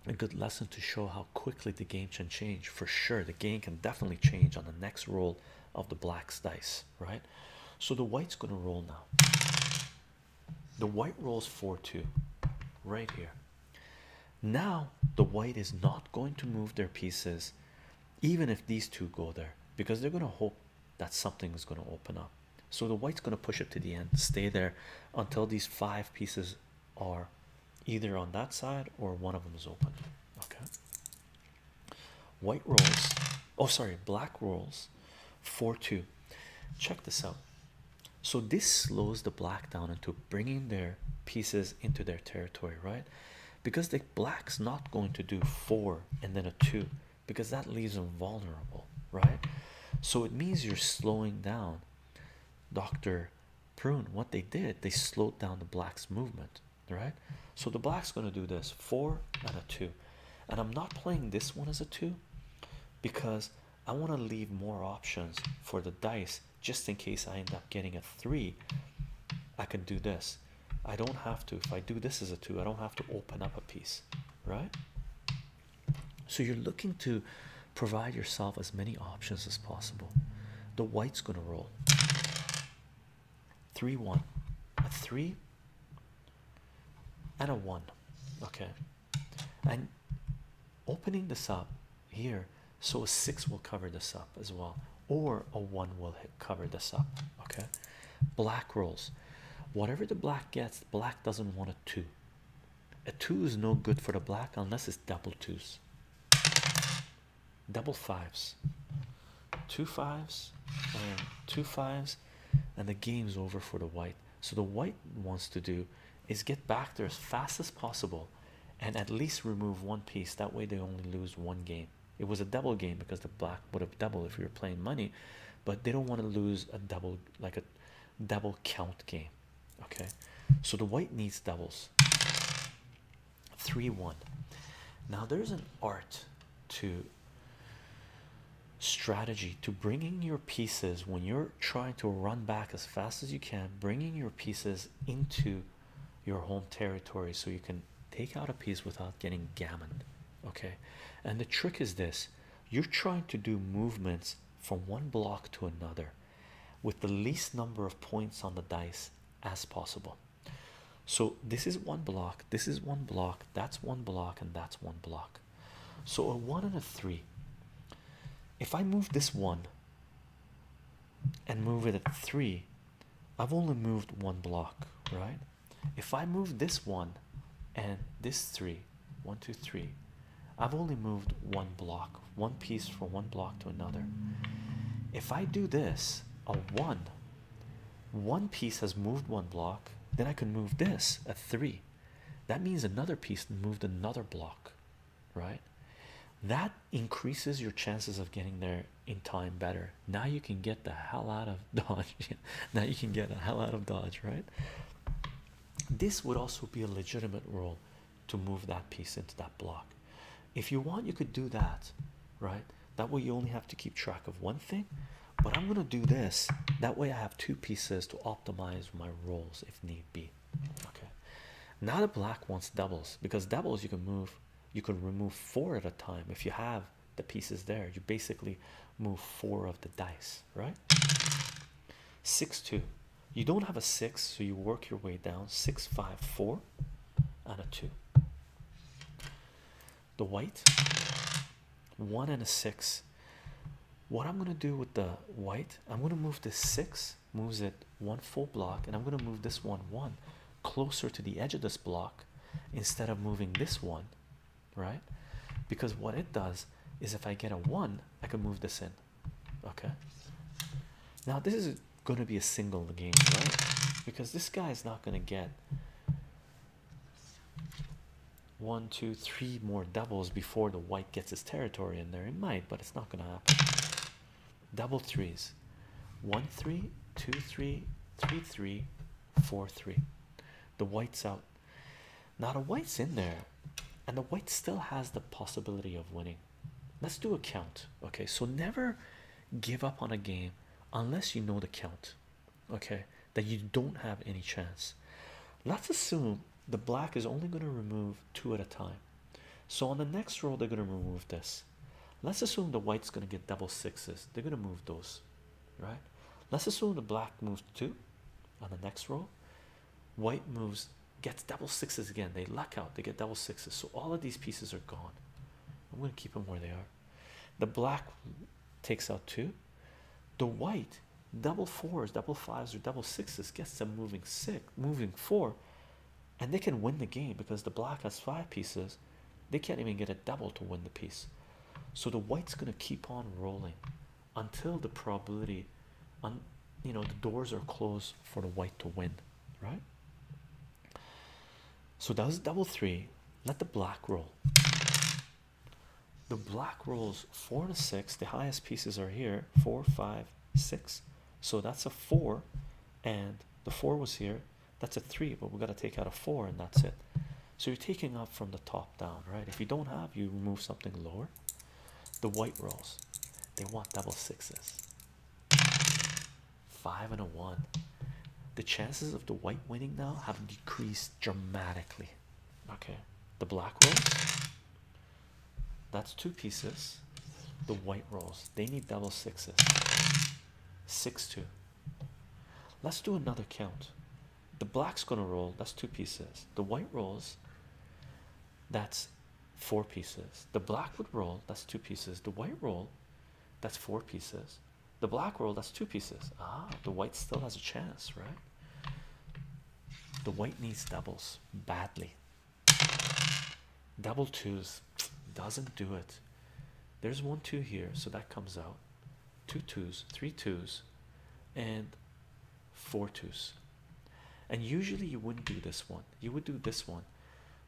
[SPEAKER 1] a good lesson to show how quickly the game can change. For sure, the game can definitely change on the next roll of the black's dice, right? So the white's gonna roll now. The white rolls 4 2 right here. Now, the white is not going to move their pieces, even if these two go there, because they're going to hope that something is going to open up. So, the white's going to push it to the end, stay there until these five pieces are either on that side or one of them is open. Okay, white rolls. Oh, sorry, black rolls 4-2. Check this out. So this slows the black down into bringing their pieces into their territory, right? Because the black's not going to do four and then a two, because that leaves them vulnerable, right? So it means you're slowing down. Dr. Prune, what they did, they slowed down the black's movement, right? So the black's going to do this four and a two. And I'm not playing this one as a two because I want to leave more options for the dice just in case I end up getting a three. I can do this. I don't have to. If I do this as a two, I don't have to open up a piece, right? So you're looking to provide yourself as many options as possible. The white's going to roll three, one, a three, and a one. Okay, and opening this up here so a six will cover this up as well or a one will cover this up okay black rolls whatever the black gets black doesn't want a two a two is no good for the black unless it's double twos double fives two fives and two fives and the game's over for the white so the white wants to do is get back there as fast as possible and at least remove one piece. That way they only lose one game. It was a double game because the black would have doubled if you were playing money, but they don't want to lose a double like a double count game. Okay, so the white needs doubles. Three one. Now there's an art to strategy strategy to bringing your pieces when you're trying to run back as fast as you can, bringing your pieces into your home territory so you can take out a piece without getting gammoned. Okay, and the trick is this you're trying to do movements from one block to another with the least number of points on the dice as possible. So, this is one block, this is one block, that's one block, and that's one block. So a one and a three. If I move this one and move it at three, I've only moved one block, right? If I move this one and this three, one, two, three, I've only moved one block, one piece from one block to another. If I do this, a one, one piece has moved one block, then I can move this a three. That means another piece moved another block right? That increases your chances of getting there in time better. Now you can get the hell out of Dodge. now you can get the hell out of Dodge, right? This would also be a legitimate rule to move that piece into that block. If you want, you could do that, right? That way you only have to keep track of one thing. But I'm gonna do this. That way I have two pieces to optimize my rolls if need be. Okay, now the black wants doubles because doubles you can move, you can remove four at a time if you have the pieces there. You basically move four of the dice, right? Six, two, you don't have a six, so you work your way down six, five, four, and a two. The white one and a six what I'm gonna do with the white, I'm gonna move this six, moves it one full block, and I'm gonna move this one one closer to the edge of this block instead of moving this one, right? Because what it does is if I get a one, I can move this in. Okay. Now this is gonna be a single game, right? Because this guy is not gonna get one, two, three more doubles before the white gets his territory in there. It might, but it's not gonna happen. Double threes. One three, two three, three three, four three. The white's out. Now the white's in there, and the white still has the possibility of winning. Let's do a count. Okay, so never give up on a game unless you know the count. Okay, that you don't have any chance. Let's assume the black is only going to remove two at a time. So on the next row, they're going to remove this. Let's assume the white's going to get double sixes. They're going to move those, right? Let's assume the black moves two on the next row. White moves, gets double sixes again. They luck out, they get double sixes. So all of these pieces are gone. I'm going to keep them where they are. The black takes out two. The white double fours, double fives, or double sixes gets them moving six, moving four, and they can win the game because the black has five pieces. They can't even get a double to win the piece. So the white's gonna keep on rolling until the probability on you know the doors are closed for the white to win, right? So that was double three. Let the black roll. The black rolls four to six. The highest pieces are here four, five, 6 so that's a 4 and the 4 was here that's a 3 but we got to take out a 4 and that's it so you're taking up from the top down right if you don't have you remove something lower the white rolls they want double sixes five and a one the chances of the white winning now have decreased dramatically okay the black rolls that's two pieces. The white rolls they need double sixes. Six two. Let's do another count. The black's gonna roll. That's two pieces. The white rolls. That's four pieces. The black would roll. That's two pieces. The white roll. That's four pieces. The black roll. That's two pieces. Ah, the white still has a chance, right? The white needs doubles badly. Double twos doesn't do it. There's one two here, so that comes out. Two twos, three twos, and four twos. And usually you wouldn't do this one. You would do this one.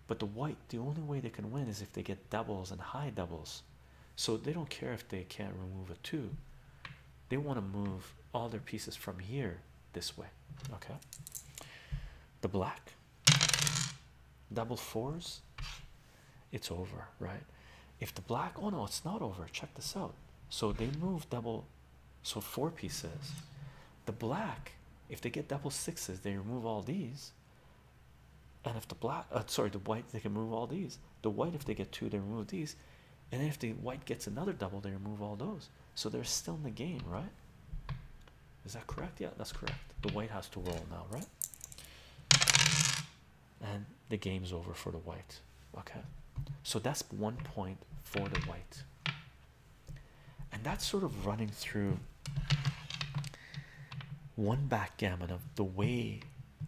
[SPEAKER 1] But the white, the only way they can win is if they get doubles and high doubles. So they don't care if they can't remove a two. They want to move all their pieces from here this way. Okay, the black double fours, it's over, right? If the black, oh no, it's not over. Check this out. So they move double, so four pieces. The black, if they get double sixes, they remove all these. And if the black, uh, sorry, the white, they can move all these. The white, if they get two, they remove these. And if the white gets another double, they remove all those. So they're still in the game, right? Is that correct? Yeah, that's correct. The white has to roll now, right? And the game's over for the white. Okay, so that's one point for the white, and that's sort of running through one backgammon of the way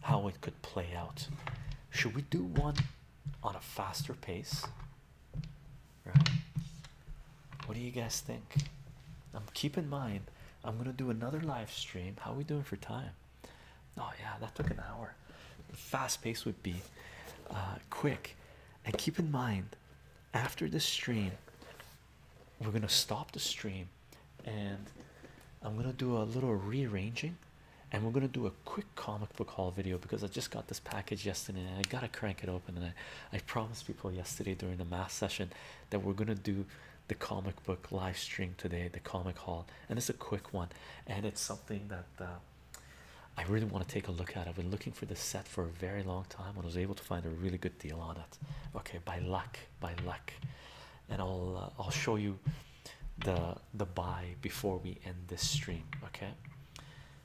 [SPEAKER 1] how it could play out. Should we do one on a faster pace Right? What do you guys think? I'm um, keep in mind I'm gonna do another live stream. How are we doing for time? Oh yeah, that took an hour. Fast pace would be uh, quick. And keep in mind, after the stream, we're gonna stop the stream, and I'm gonna do a little rearranging, and we're gonna do a quick comic book haul video because I just got this package yesterday and I gotta crank it open. And I, I promised people yesterday during the mass session that we're gonna do the comic book live stream today, the comic haul, and it's a quick one, and it's something that uh, I really want to take a look at. I've been looking for this set for a very long time and I was able to find a really good deal on it. Okay, by luck, by luck, and I'll uh, I'll show you the the buy before we end this stream. Okay,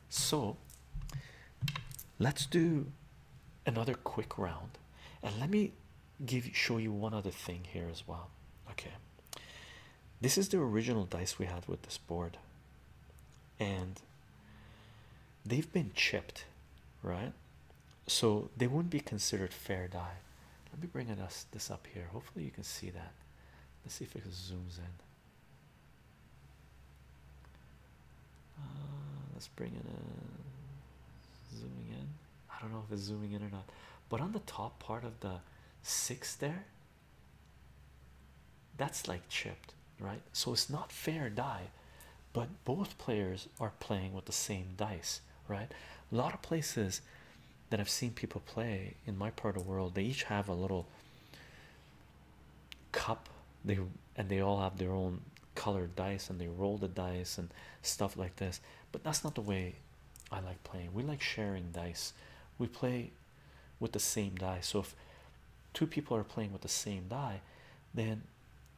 [SPEAKER 1] so let's do another quick round and let me show you one other thing here as well okay this is the original dice we had with this board and they've been chipped right so they wouldn't be considered fair dice. let me bring us this up here hopefully you can see that let's see if it zooms in uh, let's bring it in. Zooming in. I don't know if it's zooming in or not, but on the top part of the six there, that's like chipped, right? So it's not fair die, but both players are playing with the same dice, right? A lot of places that I've seen people play in my part of the world, they each have a little cup they and they all have their own colored dice and they roll the dice and stuff like this but that's not the way i like playing we like sharing dice we play with the same die so if two people are playing with the same die then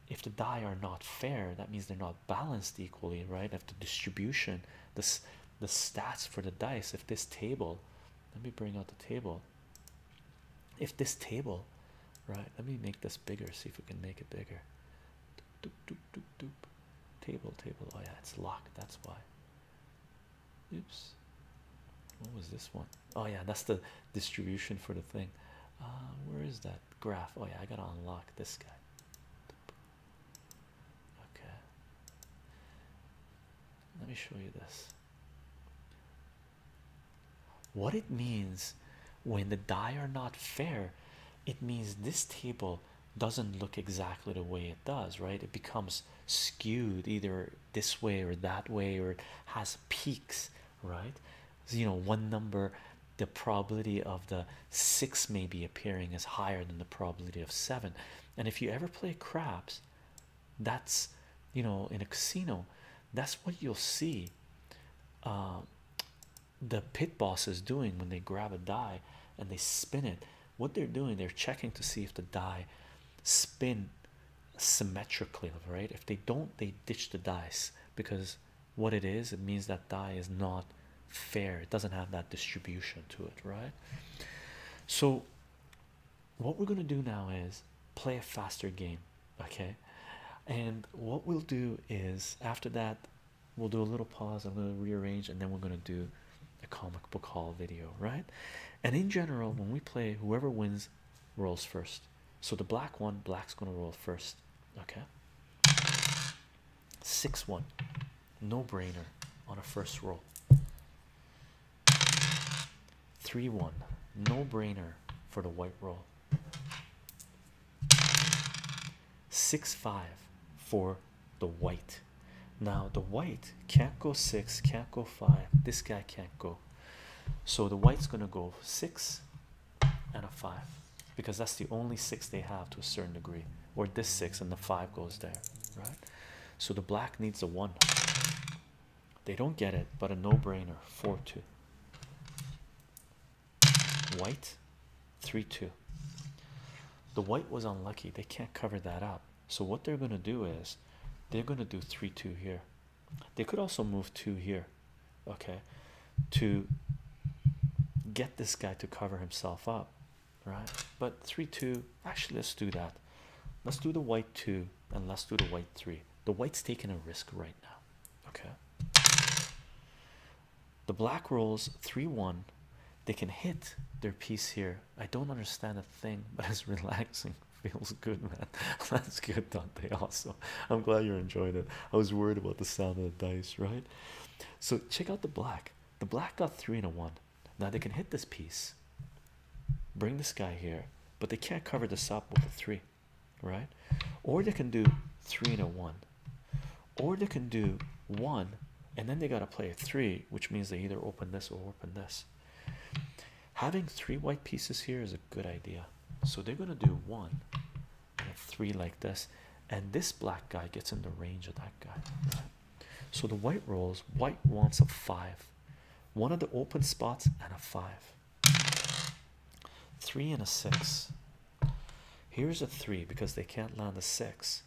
[SPEAKER 1] if the die are not fair that means they're not balanced equally right if the distribution this the stats for the dice if this table let me bring out the table if this table right let me make this bigger see if we can make it bigger table table oh yeah it's locked that's why oops what was this one? Oh yeah that's the distribution for the thing uh, where is that graph oh yeah I gotta unlock this guy okay let me show you this. What it means when the die are not fair, it means this table doesn't look exactly the way it does, right? It becomes skewed either this way or that way, or it has peaks, right? So, you know, one number, the probability of the six maybe appearing is higher than the probability of seven. And if you ever play craps, that's you know in a casino that's what you'll see um, the pit boss is doing when they grab a die and they spin it what they're doing they're checking to see if the die spin symmetrically right if they don't they ditch the dice because what it is it means that die is not fair it doesn't have that distribution to it right so what we're gonna do now is play a faster game, okay? And what we'll do is after that, we'll do a little pause. a little rearrange, and then we're gonna do a comic book haul video, right? And in general, when we play, whoever wins rolls first. So the black one, black's gonna roll first, okay? Six one, no brainer on a first roll. 3 1. No brainer for the white roll. 6 5 for the white. Now, the white can't go 6, can't go 5. This guy can't go. So the white's going to go 6 and a 5 because that's the only 6 they have to a certain degree. Or this 6 and the 5 goes there, right? So the black needs a 1. They don't get it, but a no-brainer. Four two. White, three two. The white was unlucky. They can't cover that up. So what they're gonna do is, they're gonna do three two here. They could also move two here, okay, to get this guy to cover himself up, right? But three two. Actually, let's do that. Let's do the white two and let's do the white three. The white's taking a risk right now. Okay. The black rolls 3 1. They can hit their piece here. I don't understand a thing, but it's relaxing. Feels good, man. That's good, don't they Also, I'm glad you are enjoying it. I was worried about the sound of the dice, right? So, check out the black. The black got 3 and a 1. Now they can hit this piece bring this guy here, but they can't cover this up with a three, right? Or they can do three and a one, or they can do one and then they got to play a three, which means they either open this or open this. Having three white pieces here is a good idea, so they're going to do one and three like this, and this black guy gets in the range of that guy. So the white rolls, white wants a five one of the open spots and a five three and a six here's a three because they can't land a six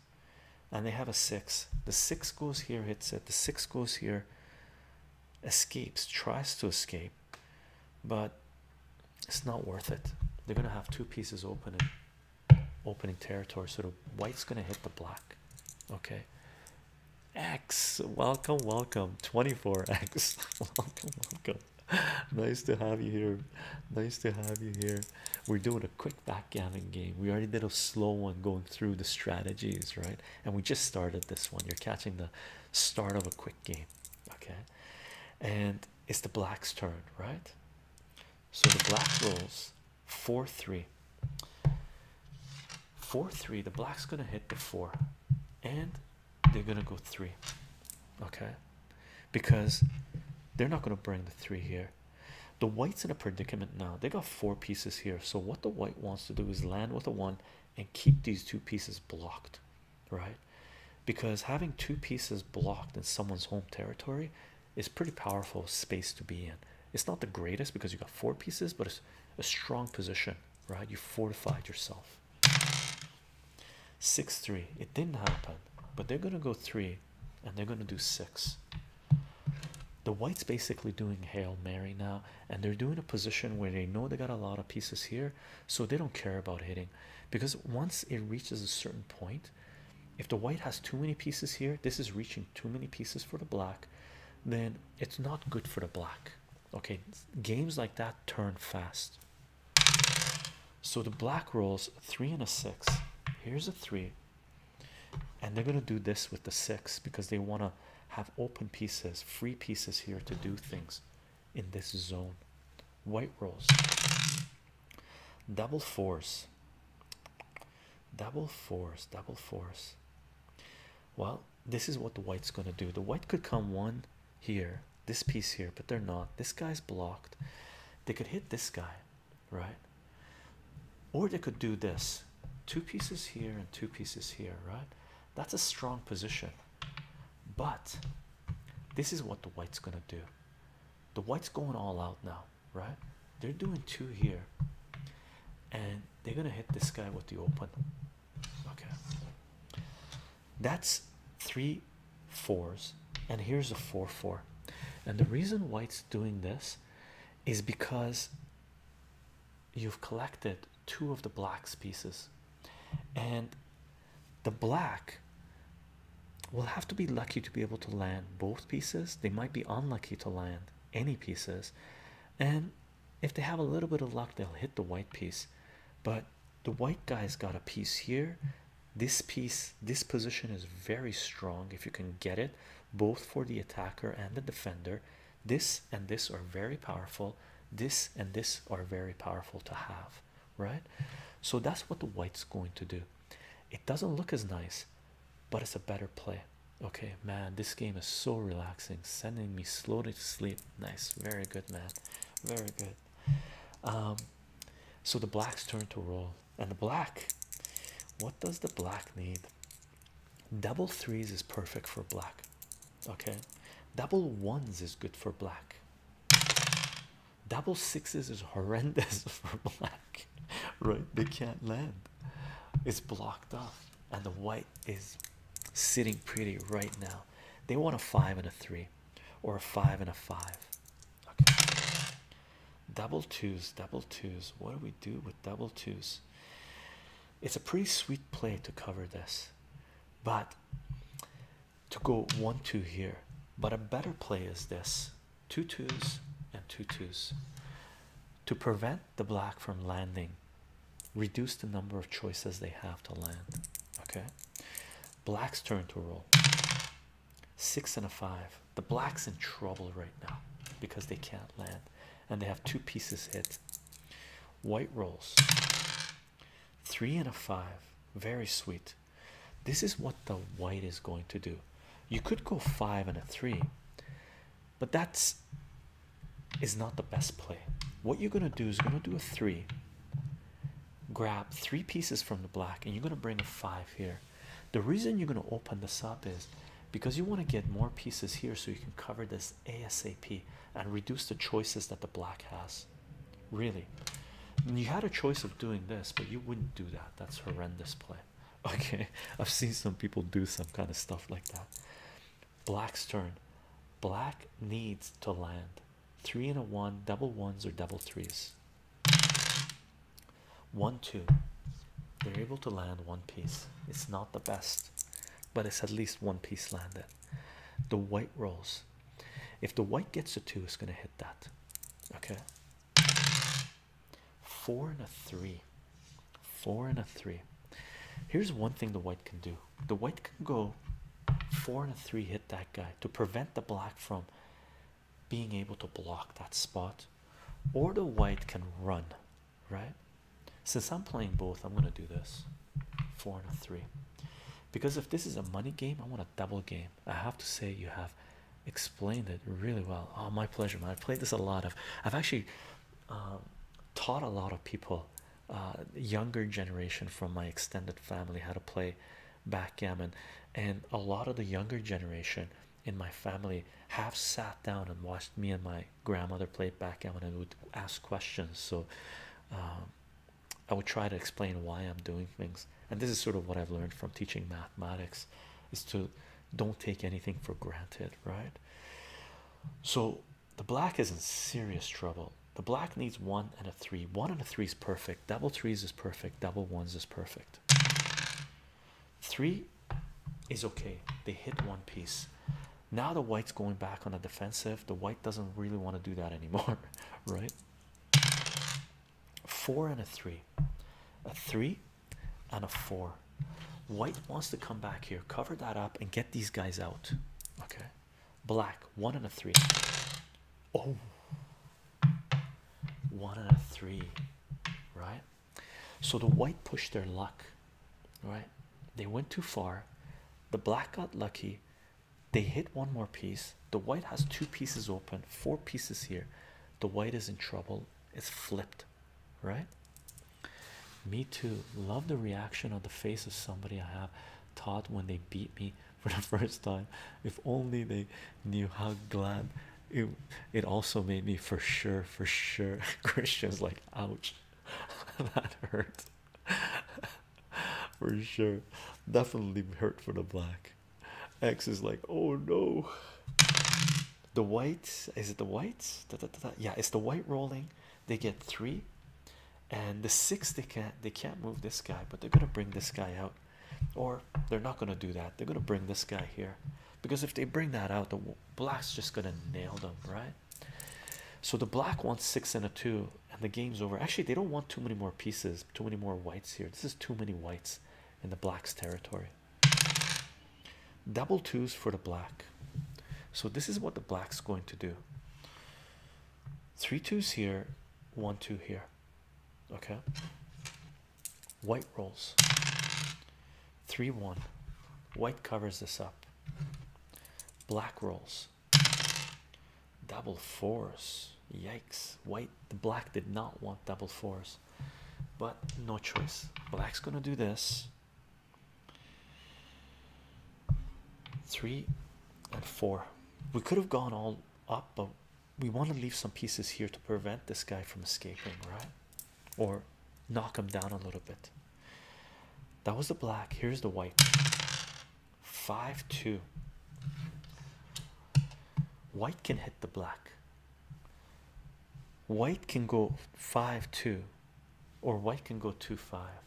[SPEAKER 1] and they have a six the six goes here hits it the six goes here escapes tries to escape but it's not worth it they're gonna have two pieces open in opening territory so the white's gonna hit the black okay X, welcome, welcome. 24X, welcome, welcome. Nice to have you here. Nice to have you here. We're doing a quick backgammon game. We already did a slow one going through the strategies, right? And we just started this one. You're catching the start of a quick game, okay? And it's the black's turn, right? So the black rolls 4 3. 4 3, the black's gonna hit the 4 and they're gonna go three, okay, because they're not gonna bring the three here. The white's in a predicament now, they got four pieces here. So, what the white wants to do is land with a one and keep these two pieces blocked, right? Because having two pieces blocked in someone's home territory is pretty powerful space to be in. It's not the greatest because you got four pieces, but it's a strong position right? You fortified yourself. 6 3. It didn't happen, but they're going to go 3 and they're going to do 6. The white's basically doing Hail Mary now, and they're doing a position where they know they got a lot of pieces here, so they don't care about hitting. Because once it reaches a certain point, if the white has too many pieces here, this is reaching too many pieces for the black, then it's not good for the black. Okay, games like that turn fast. So the black rolls three and a six. Here's a three, and they're gonna do this with the six because they want to have open pieces, free pieces here to do things in this zone. White rolls, double fours, double fours, double fours. Well, this is what the white's gonna do. The white could come one here, this piece here, but they're not. This guy's blocked. They could hit this guy, right? Or they could do this two pieces here and two pieces here, right? That's a strong position, but this is what the white's gonna do. The white's going all out now, right? They're doing two here, and they're gonna hit this guy with the open Okay, that's three fours, and here's a four four. And the reason white's doing this is because you've collected two of the black's pieces, and the black will have to be lucky to be able to land both pieces, they might be unlucky to land any pieces, and if they have a little bit of luck, they'll hit the white piece. But the white guy's got a piece here. This piece, this position is very strong if you can get it, both for the attacker and the defender. This and this are very powerful. This and this are very powerful to have, right? So that's what the white's going to do. It doesn't look as nice, but it's a better play. Okay, man, this game is so relaxing, sending me slowly to sleep. Nice, very good, man. Very good. Um, so the blacks turn to roll, and the black. What does the black need? Double threes is perfect for black. Okay, double ones is good for black. Double sixes is horrendous for black, right? They can't land. It's blocked off, and the white is sitting pretty right now. They want a five and a three, or a five and a five. Double twos, double twos. What do we do with double twos? It's a pretty sweet play to cover this, but to go one two here. But a better play is this two twos and two twos to prevent the black from landing reduce the number of choices they have to land. Okay, blacks turn to roll six and a five. The blacks in trouble right now because they can't land and they have two pieces hit. White rolls three and a five, very sweet. This is what the white is going to do. You could go five and a three, but that's is not the best play. What you're gonna do is you're gonna do a three, grab three pieces from the black, and you're gonna bring a five here. The reason you're gonna open this up is because you want to get more pieces here so you can cover this ASAP and reduce the choices that the black has. Really, you had a choice of doing this, but you wouldn't do that. That's horrendous play. Okay, I've seen some people do some kind of stuff like that. Black's turn. Black needs to land three and a one, double ones or double threes. One, two. They're able to land one piece. It's not the best, but it's at least one piece landed. The white rolls. If the white gets a two, it's going to hit that. Okay. Four and a three. Four and a three. Here's one thing the white can do the white can go four and a three hit that guy to prevent the black from being able to block that spot, or the white can run, right? Since I'm playing both, I'm gonna do this four and a three because if this is a money game, I want a double game. I have to say, you have explained it really well. Oh, my pleasure, man. I've played this a lot. of. I've actually um, taught a lot of people uh, younger generation from my extended family how to play backgammon and a lot of the younger generation in my family have sat down and watched me and my grandmother play backgammon and would ask questions so um, I would try to explain why I'm doing things and this is sort of what I've learned from teaching mathematics is to don't take anything for granted right so the black is in serious trouble. The black needs one and a three. One and a three is perfect. Double threes is perfect. Double ones is perfect. Three is okay. They hit one piece. Now the white's going back on the defensive. The white doesn't really want to do that anymore, right? Four and a three. A three and a four. White wants to come back here, cover that up, and get these guys out. Okay. Black one and a three. Oh, one and a three, right? So the white pushed their luck, right? They went too far. The black got lucky. They hit one more piece. The white has two pieces open, four pieces here. The white is in trouble. It's flipped, right? Me too. Love the reaction on the face of somebody I have. Taught when they beat me for the first time. If only they knew how glad it, it also made me for sure, for sure. Christian's like, ouch, that hurt for sure. Definitely hurt for the black. X is like, oh no. The white is it the white? Yeah, it's the white rolling they get three and the six they can't they can't move this guy but they're gonna bring this guy out or they're not gonna do that they're gonna bring this guy here because if they bring that out the black's just gonna nail them right so the black wants six and a two and the game's over actually they don't want too many more pieces too many more whites here this is too many whites in the black's territory double twos for the black so this is what the black's going to do three twos here, one two here. Okay. White rolls. Three one. White covers this up. Black rolls. Double fours. Yikes. White the black did not want double fours. But no choice. Black's gonna do this three and four we could have gone all up but we want to leave some pieces here to prevent this guy from escaping right or knock him down a little bit that was the black here's the white five two white can hit the black white can go five two or white can go two five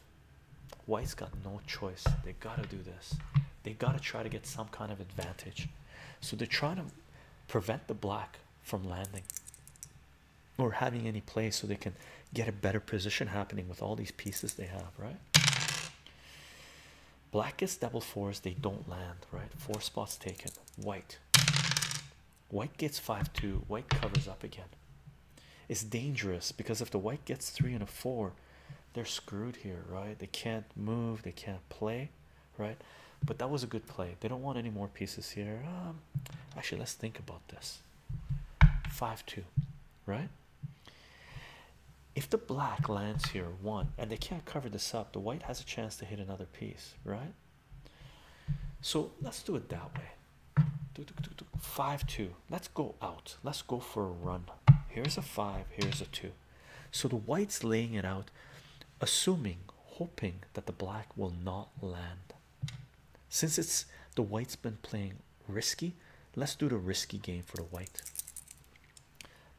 [SPEAKER 1] White's got no choice. They gotta do this. They gotta try to get some kind of advantage. So they're trying to prevent the black from landing or having any play so they can get a better position happening with all these pieces they have, right? Black gets double fours, they don't land, right? Four spots taken. White. White gets 5 2. White covers up again. It's dangerous because if the white gets three and a four, they're screwed here, right? They can't move, they can't play, right? But that was a good play. They don't want any more pieces here. Um, actually, let's think about this. Five two, right? If the black lands here one and they can't cover this up, the white has a chance to hit another piece, right? So let's do it that way. Five two let Let's go out. Let's go for a run. Here's a five. Here's a two. So the white's laying it out, assuming, hoping that the black will not land. Since it's the white's been playing risky, let's do the risky game for the white.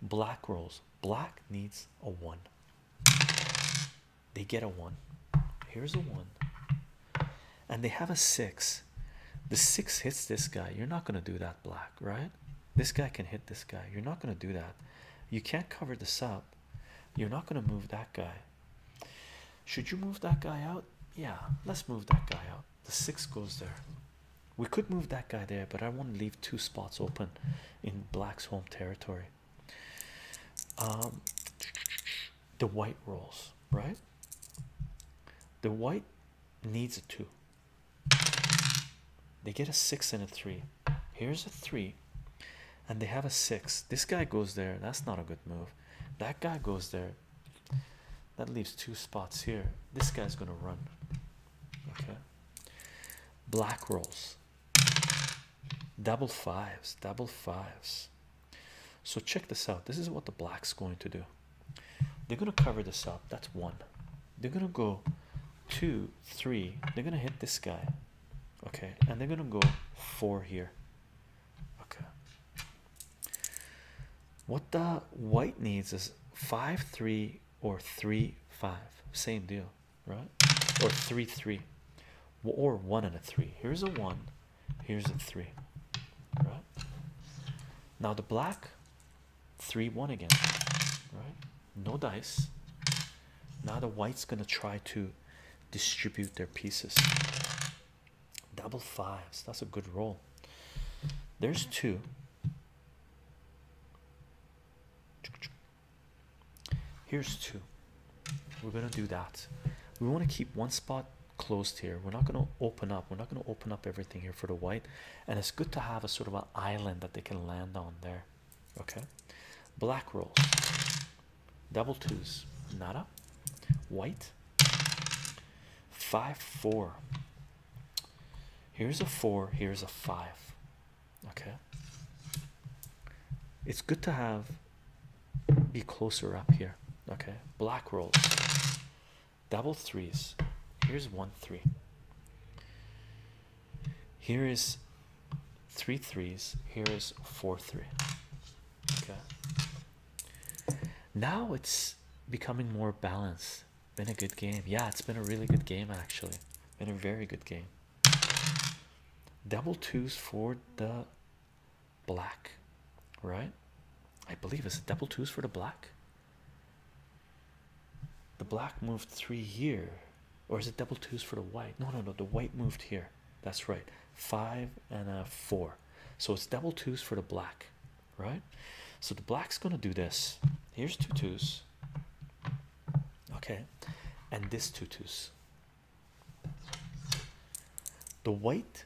[SPEAKER 1] Black rolls. Black needs a one. They get a one. Here's a one and they have a six. The six hits this guy. You're not going to do that, black, right? This guy can hit this guy. You're not going to do that. You can't cover this up. You're not going to move that guy. Should you move that guy out? Yeah, let's move that guy out. The six goes there. We could move that guy there, but I want to leave two spots open in black's home territory. Um, the white rolls, right? The white needs a two. They get a six and a three. Here's a three, and they have a six. This guy goes there. That's not a good move. That guy goes there. That leaves two spots here. This guy's gonna run. Okay. Black rolls. Double fives. Double fives. So check this out. This is what the black's going to do. They're gonna cover this up. That's one. They're gonna go two, three. They're gonna hit this guy. Okay, and they're gonna go four here. Okay. What the white needs is five three or three five. Same deal, right? Or three three. Or one and a three. Here's a one. Here's a three. Right? Now the black 3 1 again, right? No dice. Now the white's gonna try to distribute their pieces. Double fives, that's a good roll. There's two. Here's two. We're gonna do that. We want to keep one spot closed here we're not going to open up we're not going to open up everything here for the white and it's good to have a sort of an island that they can land on there okay black rolls double twos nada white five four here's a four here's a five okay it's good to have be closer up here okay black rolls double threes. Here's one three. Here is three threes. Here is four three. Okay. Now it's becoming more balanced. Been a good game. Yeah, it's been a really good game actually. Been a very good game. Double twos for the black, right? I believe it's it double twos for the black. The black moved three here, or is it double twos for the white? No, no, no. The white moved here. That's right. Five and a four. So it's double twos for the black, right? So the black's gonna do this. Here's two twos. Okay, and this two twos. The white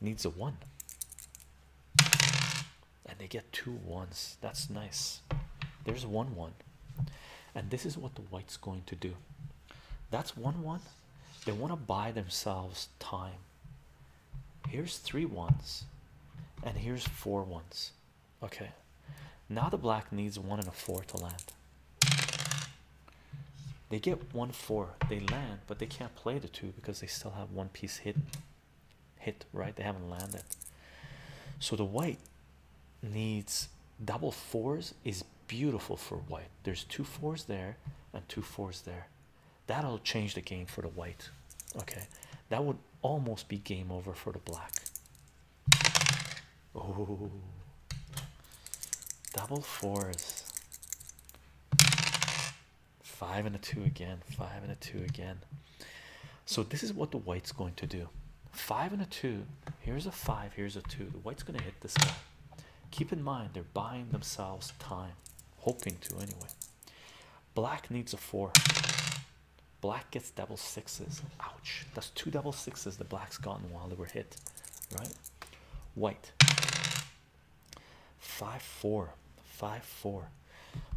[SPEAKER 1] needs a one, and they get two ones. That's nice. There's one one, and this is what the white's going to do. That's one one. They want to buy themselves time. Here's three ones, and here's four ones. Okay, now the black needs one and a four to land. They get one four, they land, but they can't play the two because they still have one piece hit hit right they haven't landed so the white needs double fours is beautiful for white there's two fours there and two fours there that'll change the game for the white okay that would almost be game over for the black oh double fours five and a two again five and a two again so this is what the white's going to do five and a two here's a five here's a two the white's going to hit this guy keep in mind they're buying themselves time hoping to anyway black needs a four black gets double sixes ouch that's two double sixes the black's gotten while they were hit right white Five four, five four.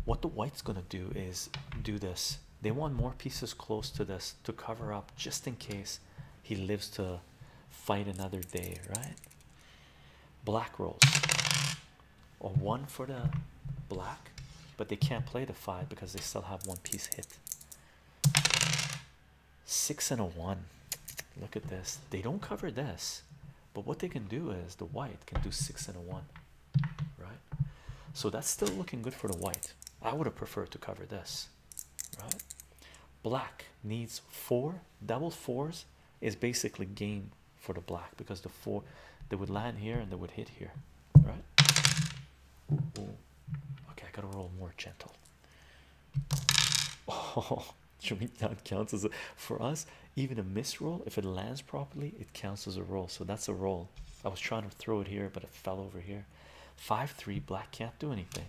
[SPEAKER 1] What the white's gonna do is do this. They want more pieces close to this to cover up just in case he lives to fight another day, right? Black rolls. Or one for the black, but they can't play the five because they still have one piece hit. Six and a one. Look at this. They don't cover this. But what they can do is the white can do six and a one, right? So that's still looking good for the white. I would have preferred to cover this, right? Black needs four double fours is basically game for the black because the four they would land here and they would hit here, right? Okay, I gotta roll more gentle. Oh, Showing down counts as for us, even a miss roll, if it lands properly, it counts as a roll. So that's a roll. I was trying to throw it here, but it fell over here. 5 3 black can't do anything.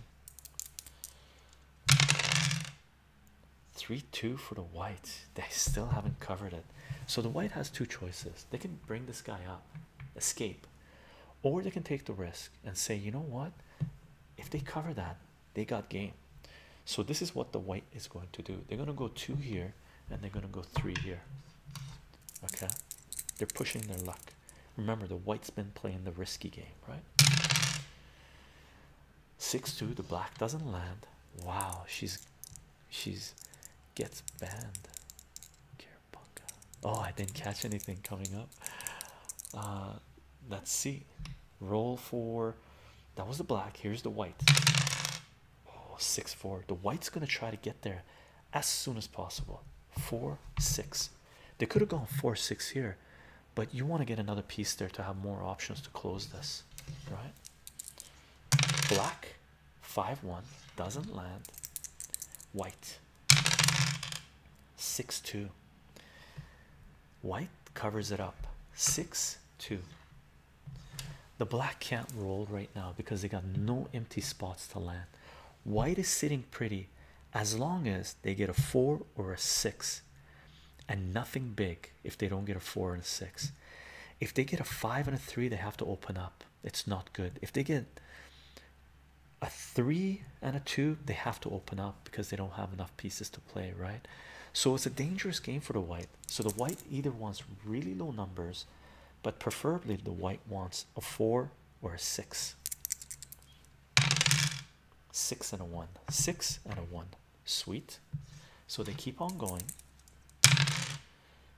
[SPEAKER 1] 3 2 for the white. They still haven't covered it. So the white has two choices. They can bring this guy up, escape, or they can take the risk and say, you know what? If they cover that, they got game. So this is what the white is going to do. They're going to go two here and they're going to go three here. Okay. They're pushing their luck. Remember, the white's been playing the risky game, right? 6-2, the black doesn't land. Wow, she's she's gets banned. Oh, I didn't catch anything coming up. Uh, let's see roll for that was the black here's the white oh six four the white's gonna try to get there as soon as possible four six they could have gone four six here but you want to get another piece there to have more options to close this right black five one doesn't land white six two white covers it up six two the black can't roll right now because they got no empty spots to land. White is sitting pretty as long as they get a four or a six and nothing big if they don't get a four and a six. If they get a five and a three, they have to open up. It's not good. If they get a three and a two, they have to open up because they don't have enough pieces to play, right? So it's a dangerous game for the white. So the white either wants really low numbers, but preferably the white wants a four or a six. Six and a one, six and a one. Sweet. So they keep on going.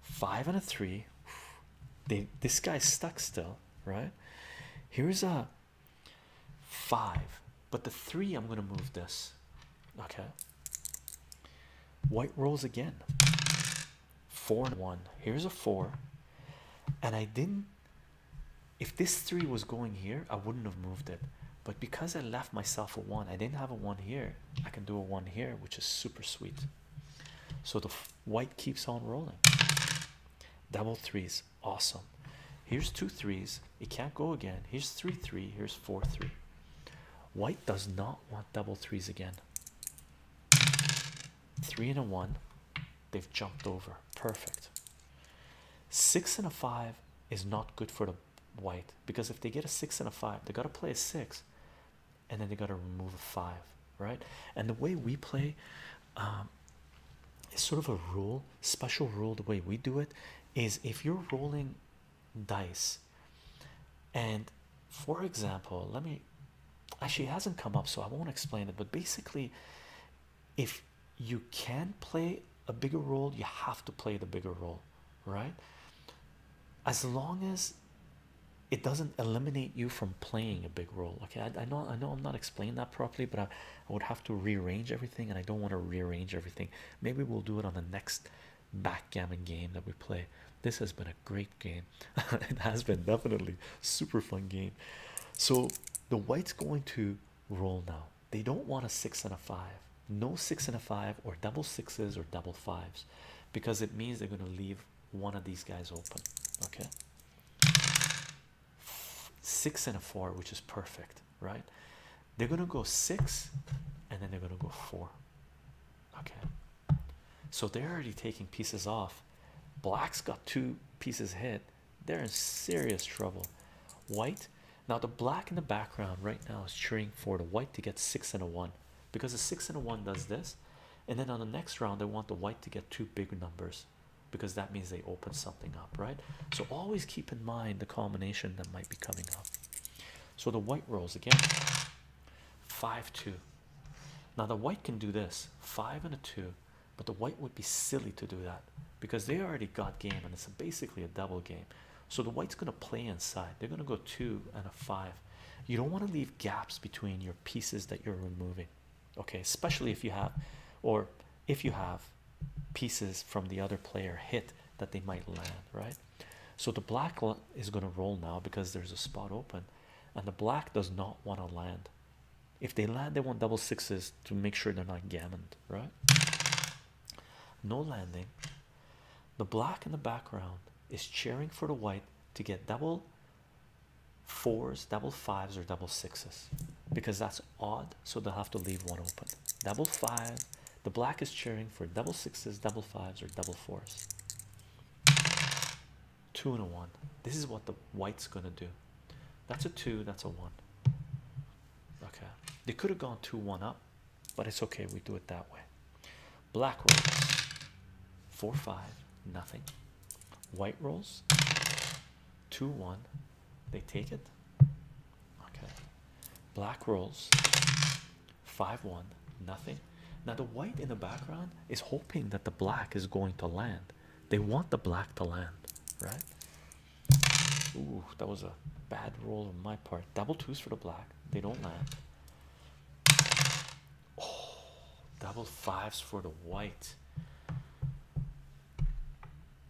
[SPEAKER 1] Five and a three. They this guy's stuck still, right? Here's a five, but the three I'm gonna move this. Okay, White rolls again. Four and one. Here's a four. And I didn't. If this three was going here, I wouldn't have moved it. But because I left myself a one, I didn't have a one here. I can do a one here, which is super sweet. So the white keeps on rolling. Double threes, awesome. Here's two threes. It can't go again. Here's three three. Here's four three. White does not want double threes again. Three and a one. They've jumped over. Perfect. Six and a five is not good for the white because if they get a six and a five, they gotta play a six, and then they gotta remove a five, right? And the way we play, um, is sort of a rule, special rule. The way we do it is if you're rolling dice and for example let me actually hasn't come up so i won't explain it but basically if you can play a bigger role you have to play the bigger role right as long as it doesn't eliminate you from playing a big role okay i, know i know i'm not explaining that properly but I would have to rearrange everything and i don't want to rearrange everything maybe we'll do it on the next backgammon game that we play. This has been a great game. it has been definitely super fun game. So the white's going to roll now. They don't want a six and a five. No six and a five or double sixes or double fives because it means they're going to leave one of these guys open. Okay. Six and a four, which is perfect right? They're gonna go six and then they're gonna go four. Okay, so they're already taking pieces off. Black's got two pieces hit, they're in serious trouble. White now, the black in the background right now is cheering for the white to get six and a one because the six and a one does this, and then on the next round, they want the white to get two big numbers because that means they open something up, right? So, always keep in mind the combination that might be coming up. So the white rolls again. 5 2. Now the white can do this 5 and a 2, but the white would be silly to do that because they already got game and it's basically a double game. So the white's going to play inside. They're going to go 2 and a 5. You don't want to leave gaps between your pieces that you're removing. Okay, especially if you have or if you have pieces from the other player hit that they might land, right? So the black is going to roll now because there's a spot open, and the black does not want to land. If they land, they want double sixes to make sure they're not gammoned, right? No landing. The black in the background is cheering for the white to get double fours, double fives, or double sixes because that's odd, so they'll have to leave one open. Double five, the black is cheering for double sixes, double fives, or double fours. Two and a one. This is what the white's gonna do. That's a two, that's a one. Okay, they could have gone two one up, but it's okay, we do it that way. Black rolls four five, nothing. White rolls two one, they take it. Okay, black rolls 5 1, nothing. Now, the white in the background is hoping that the black is going to land. They want the black to land, right? Ooh, that was a bad roll on my part. Double twos for the black, they don't land. Oh, double fives for the white.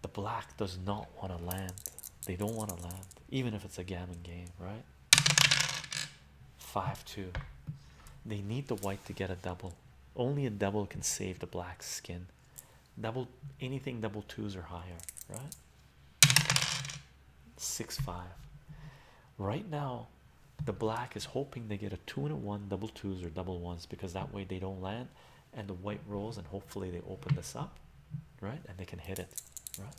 [SPEAKER 1] The black does not want to land, they don't want to land, even if it's a gambling game, right? Five two. They need the white to get a double. Only a double can save the black skin. Double anything double twos or higher, right? Six five. Right now, the black is hoping they get a two and a one, double twos or double ones because that way they don't land, and the white rolls and hopefully they open this up, right? And they can hit it, right?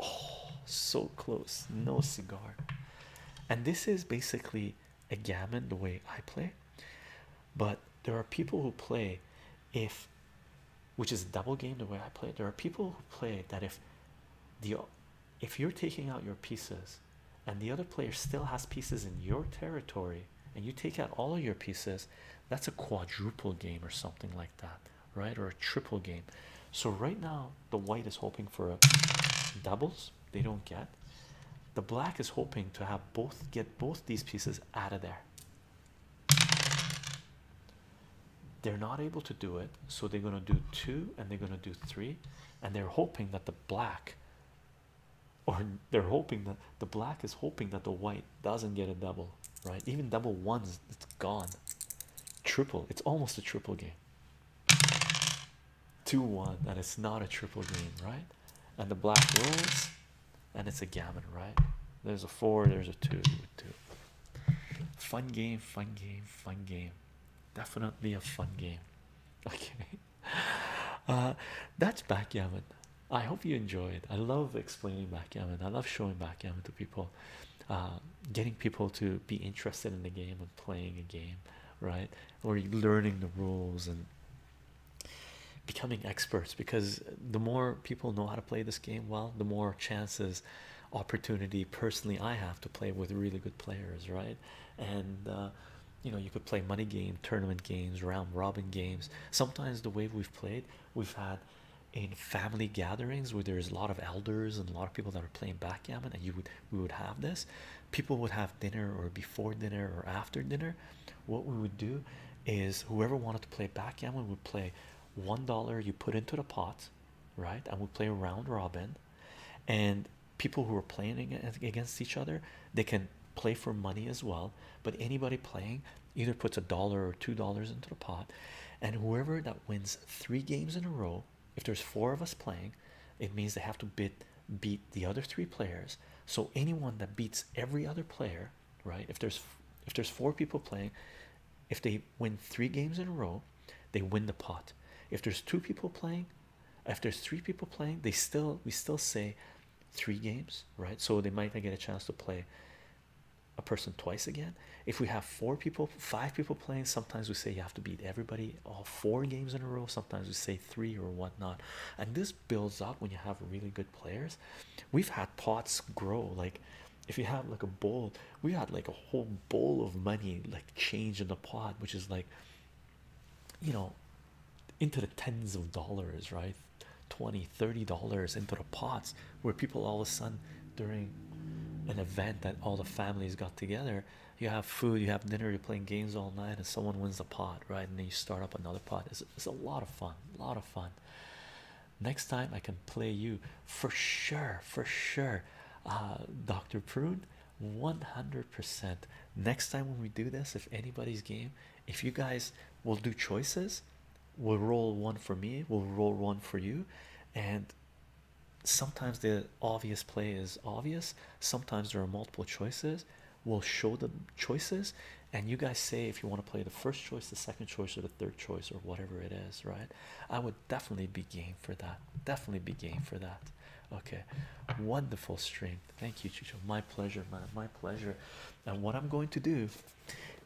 [SPEAKER 1] Oh, so close. No cigar. And this is basically a gammon the way I play. But there are people who play if which is a double game the way I play. There are people who play that if the if you're taking out your pieces and the other player still has pieces in your territory and you take out all of your pieces, that's a quadruple game or something like that right? Or a triple game. So right now the white is hoping for a doubles. They don't get. The black is hoping to have both get both these pieces out of there. They're not able to do it, so they're going to do two and they're going to do three, and they're hoping that the black or they're hoping that the black is hoping that the white doesn't get a double right? Even double ones, it's gone. Triple, it's almost a triple game. 2 1, and it's not a triple game, right? And the black rolls, and it's a gammon, right? There's a 4, there's a 2, 2. Fun game, fun game, fun game. Definitely a fun game. Okay. Uh, that's backgammon. I hope you enjoyed. I love explaining backgammon. I love showing backgammon to people, uh, getting people to be interested in the game and playing a game, right? Or learning the rules and becoming experts because the more people know how to play this game well, the more chances, opportunity personally I have to play with really good players, right? And uh, you know, you could play money game, tournament games, round robin games. Sometimes the way we've played, we've had in family gatherings where there's a lot of elders and a lot of people that are playing backgammon and you would we would have this people would have dinner or before dinner or after dinner what we would do is whoever wanted to play backgammon would play one dollar you put into the pot right and we play a round robin and people who are playing against each other they can play for money as well but anybody playing either puts a dollar or two dollars into the pot, and whoever that wins three games in a row, if there's four of us playing, it means they have to bid beat the other three players. So anyone that beats every other player, right? If there's if there's four people playing, if they win three games in a row, they win the pot. If there's two people playing, if there's three people playing, they still we still say three games, right? So they might not get a chance to play a person twice again. If we have four people, five people playing, sometimes we say you have to beat everybody all four games in a row. Sometimes we say three or whatnot. And this builds up when you have really good players. We've had pots grow. Like if you have like a bowl, we had like a whole bowl of money like change in the pot, which is like you know into the tens of dollars, right? 20 30 dollars into the pots where people all of a sudden during an event that all the families got together you have food you have dinner you're playing games all night and someone wins a pot right and then you start up another pot it's, it's a lot of fun a lot of fun next time i can play you for sure for sure uh, dr prune 100 percent next time when we do this if anybody's game if you guys will do choices will roll one for me, will roll one for you, and sometimes the obvious play is obvious. Sometimes there are multiple choices. We'll show the choices, and you guys say if you want to play the first choice, the second choice, or the third choice, or whatever it is, right? I would definitely be game for that. Definitely be game for that. Okay, wonderful stream. Thank you, Chicho. My pleasure, man. My pleasure. And what I'm going to do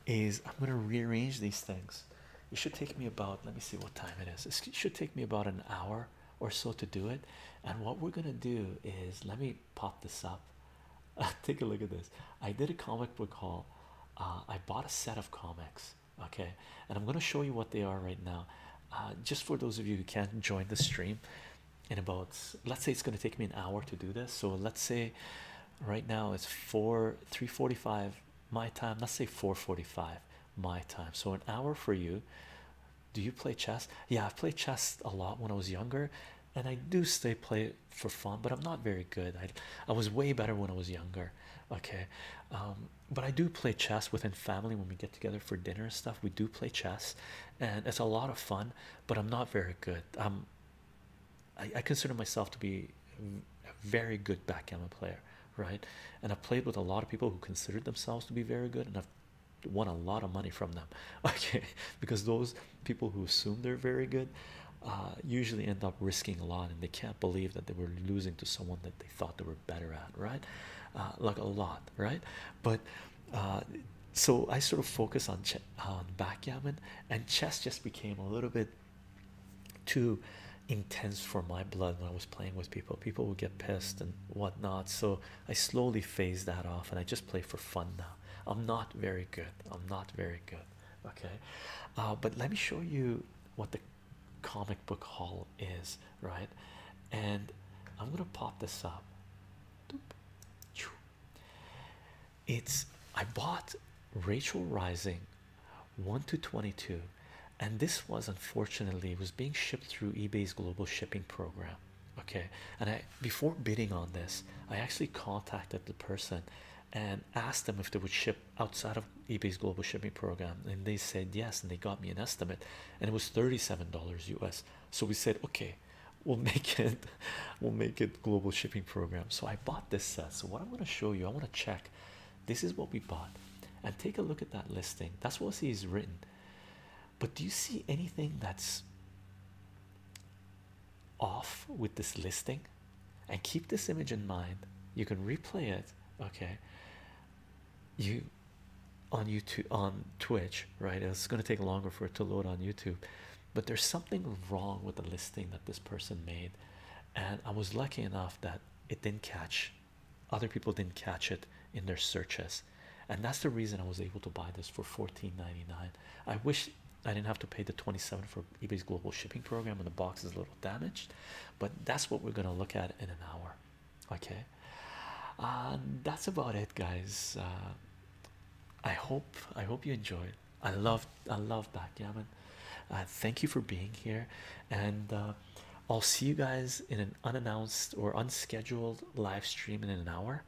[SPEAKER 1] is I'm gonna rearrange these things. It should take me about let me see what time it is. It should take me about an hour or so to do it. And what we're gonna do is let me pop this up. Take a look at this. I did a comic book haul. Uh, I bought a set of comics. Okay, and I'm gonna show you what they are right now. Uh, just for those of you who can't join the stream in about let's say it's going to take me an hour to do this so let's say right now it's 4 345 my time let's say 4:45 my time so an hour for you do you play chess yeah i've played chess a lot when i was younger and i do stay play for fun but i'm not very good i i was way better when i was younger okay um, but i do play chess within family when we get together for dinner and stuff we do play chess and it's a lot of fun but i'm not very good i I, consider myself to be a very good backgammon player, right? And I've played with a lot of people who considered themselves to be very good, and I've won a lot of money from them, okay? Because those people who assume they're very good uh, usually end up risking a lot, and they can't believe that they were losing to someone that they thought they were better at, right? Uh, like a lot, right? But uh, so I sort of focus on, on backgammon, and chess just became a little bit too intense for my blood when I was playing with people. People would get pissed and whatnot. So I slowly phased that off and I just play for fun now. I'm not very good. I'm not very good. Okay. Uh, but let me show you what the comic book haul is, right? And I'm going to pop this up. It's I bought Rachel Rising 1 to 22 and this was unfortunately was being shipped through eBay's global shipping program okay and I before bidding on this I actually contacted the person and asked them if they would ship outside of eBay's global shipping program and they said yes and they got me an estimate and it was $37 US so we said okay we'll make it we'll make it global shipping program so I bought this set so what I'm going to show you I want to check this is what we bought. And take a look at that listing. That's what he's written. But do you see anything that's off with this listing? And keep this image in mind. You can replay it, okay? You on YouTube on Twitch, right? It's gonna take longer for it to load on YouTube. But there's something wrong with the listing that this person made and I was lucky enough that it didn't catch other people didn't catch it in their searches and that's the reason I was able to buy this for $14.99 I wish I didn't have to pay the 27 for eBay's global shipping program and the box is a little damaged but that's what we're gonna look at in an hour okay uh, that's about it guys uh, I hope I hope you enjoyed great. I love I love backgammon. Uh, thank you for being here, and uh, I'll see you guys in an unannounced or unscheduled live stream in an hour.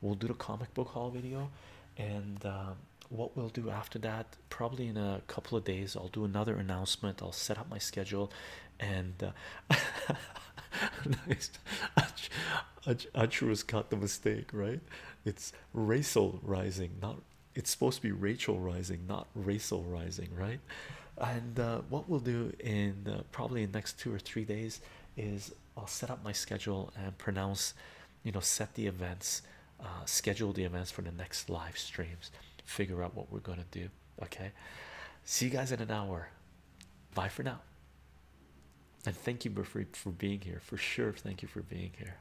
[SPEAKER 1] We'll do the comic book haul video, and uh, what we'll do after that, probably in a couple of days, I'll do another announcement. I'll set up my schedule, and uh, nice. Ach Ach Achru's got the mistake, right? It's racial rising, not it's supposed to be Rachel rising, not Rachel rising, right? And uh, what we'll do in uh, probably in the next two or three days is I'll set up my schedule and pronounce, you know, set the events, uh, schedule the events for the next live streams, figure out what we're gonna do. Okay, see you guys in an hour. Bye for now. And thank you for for being here. For sure, thank you for being here.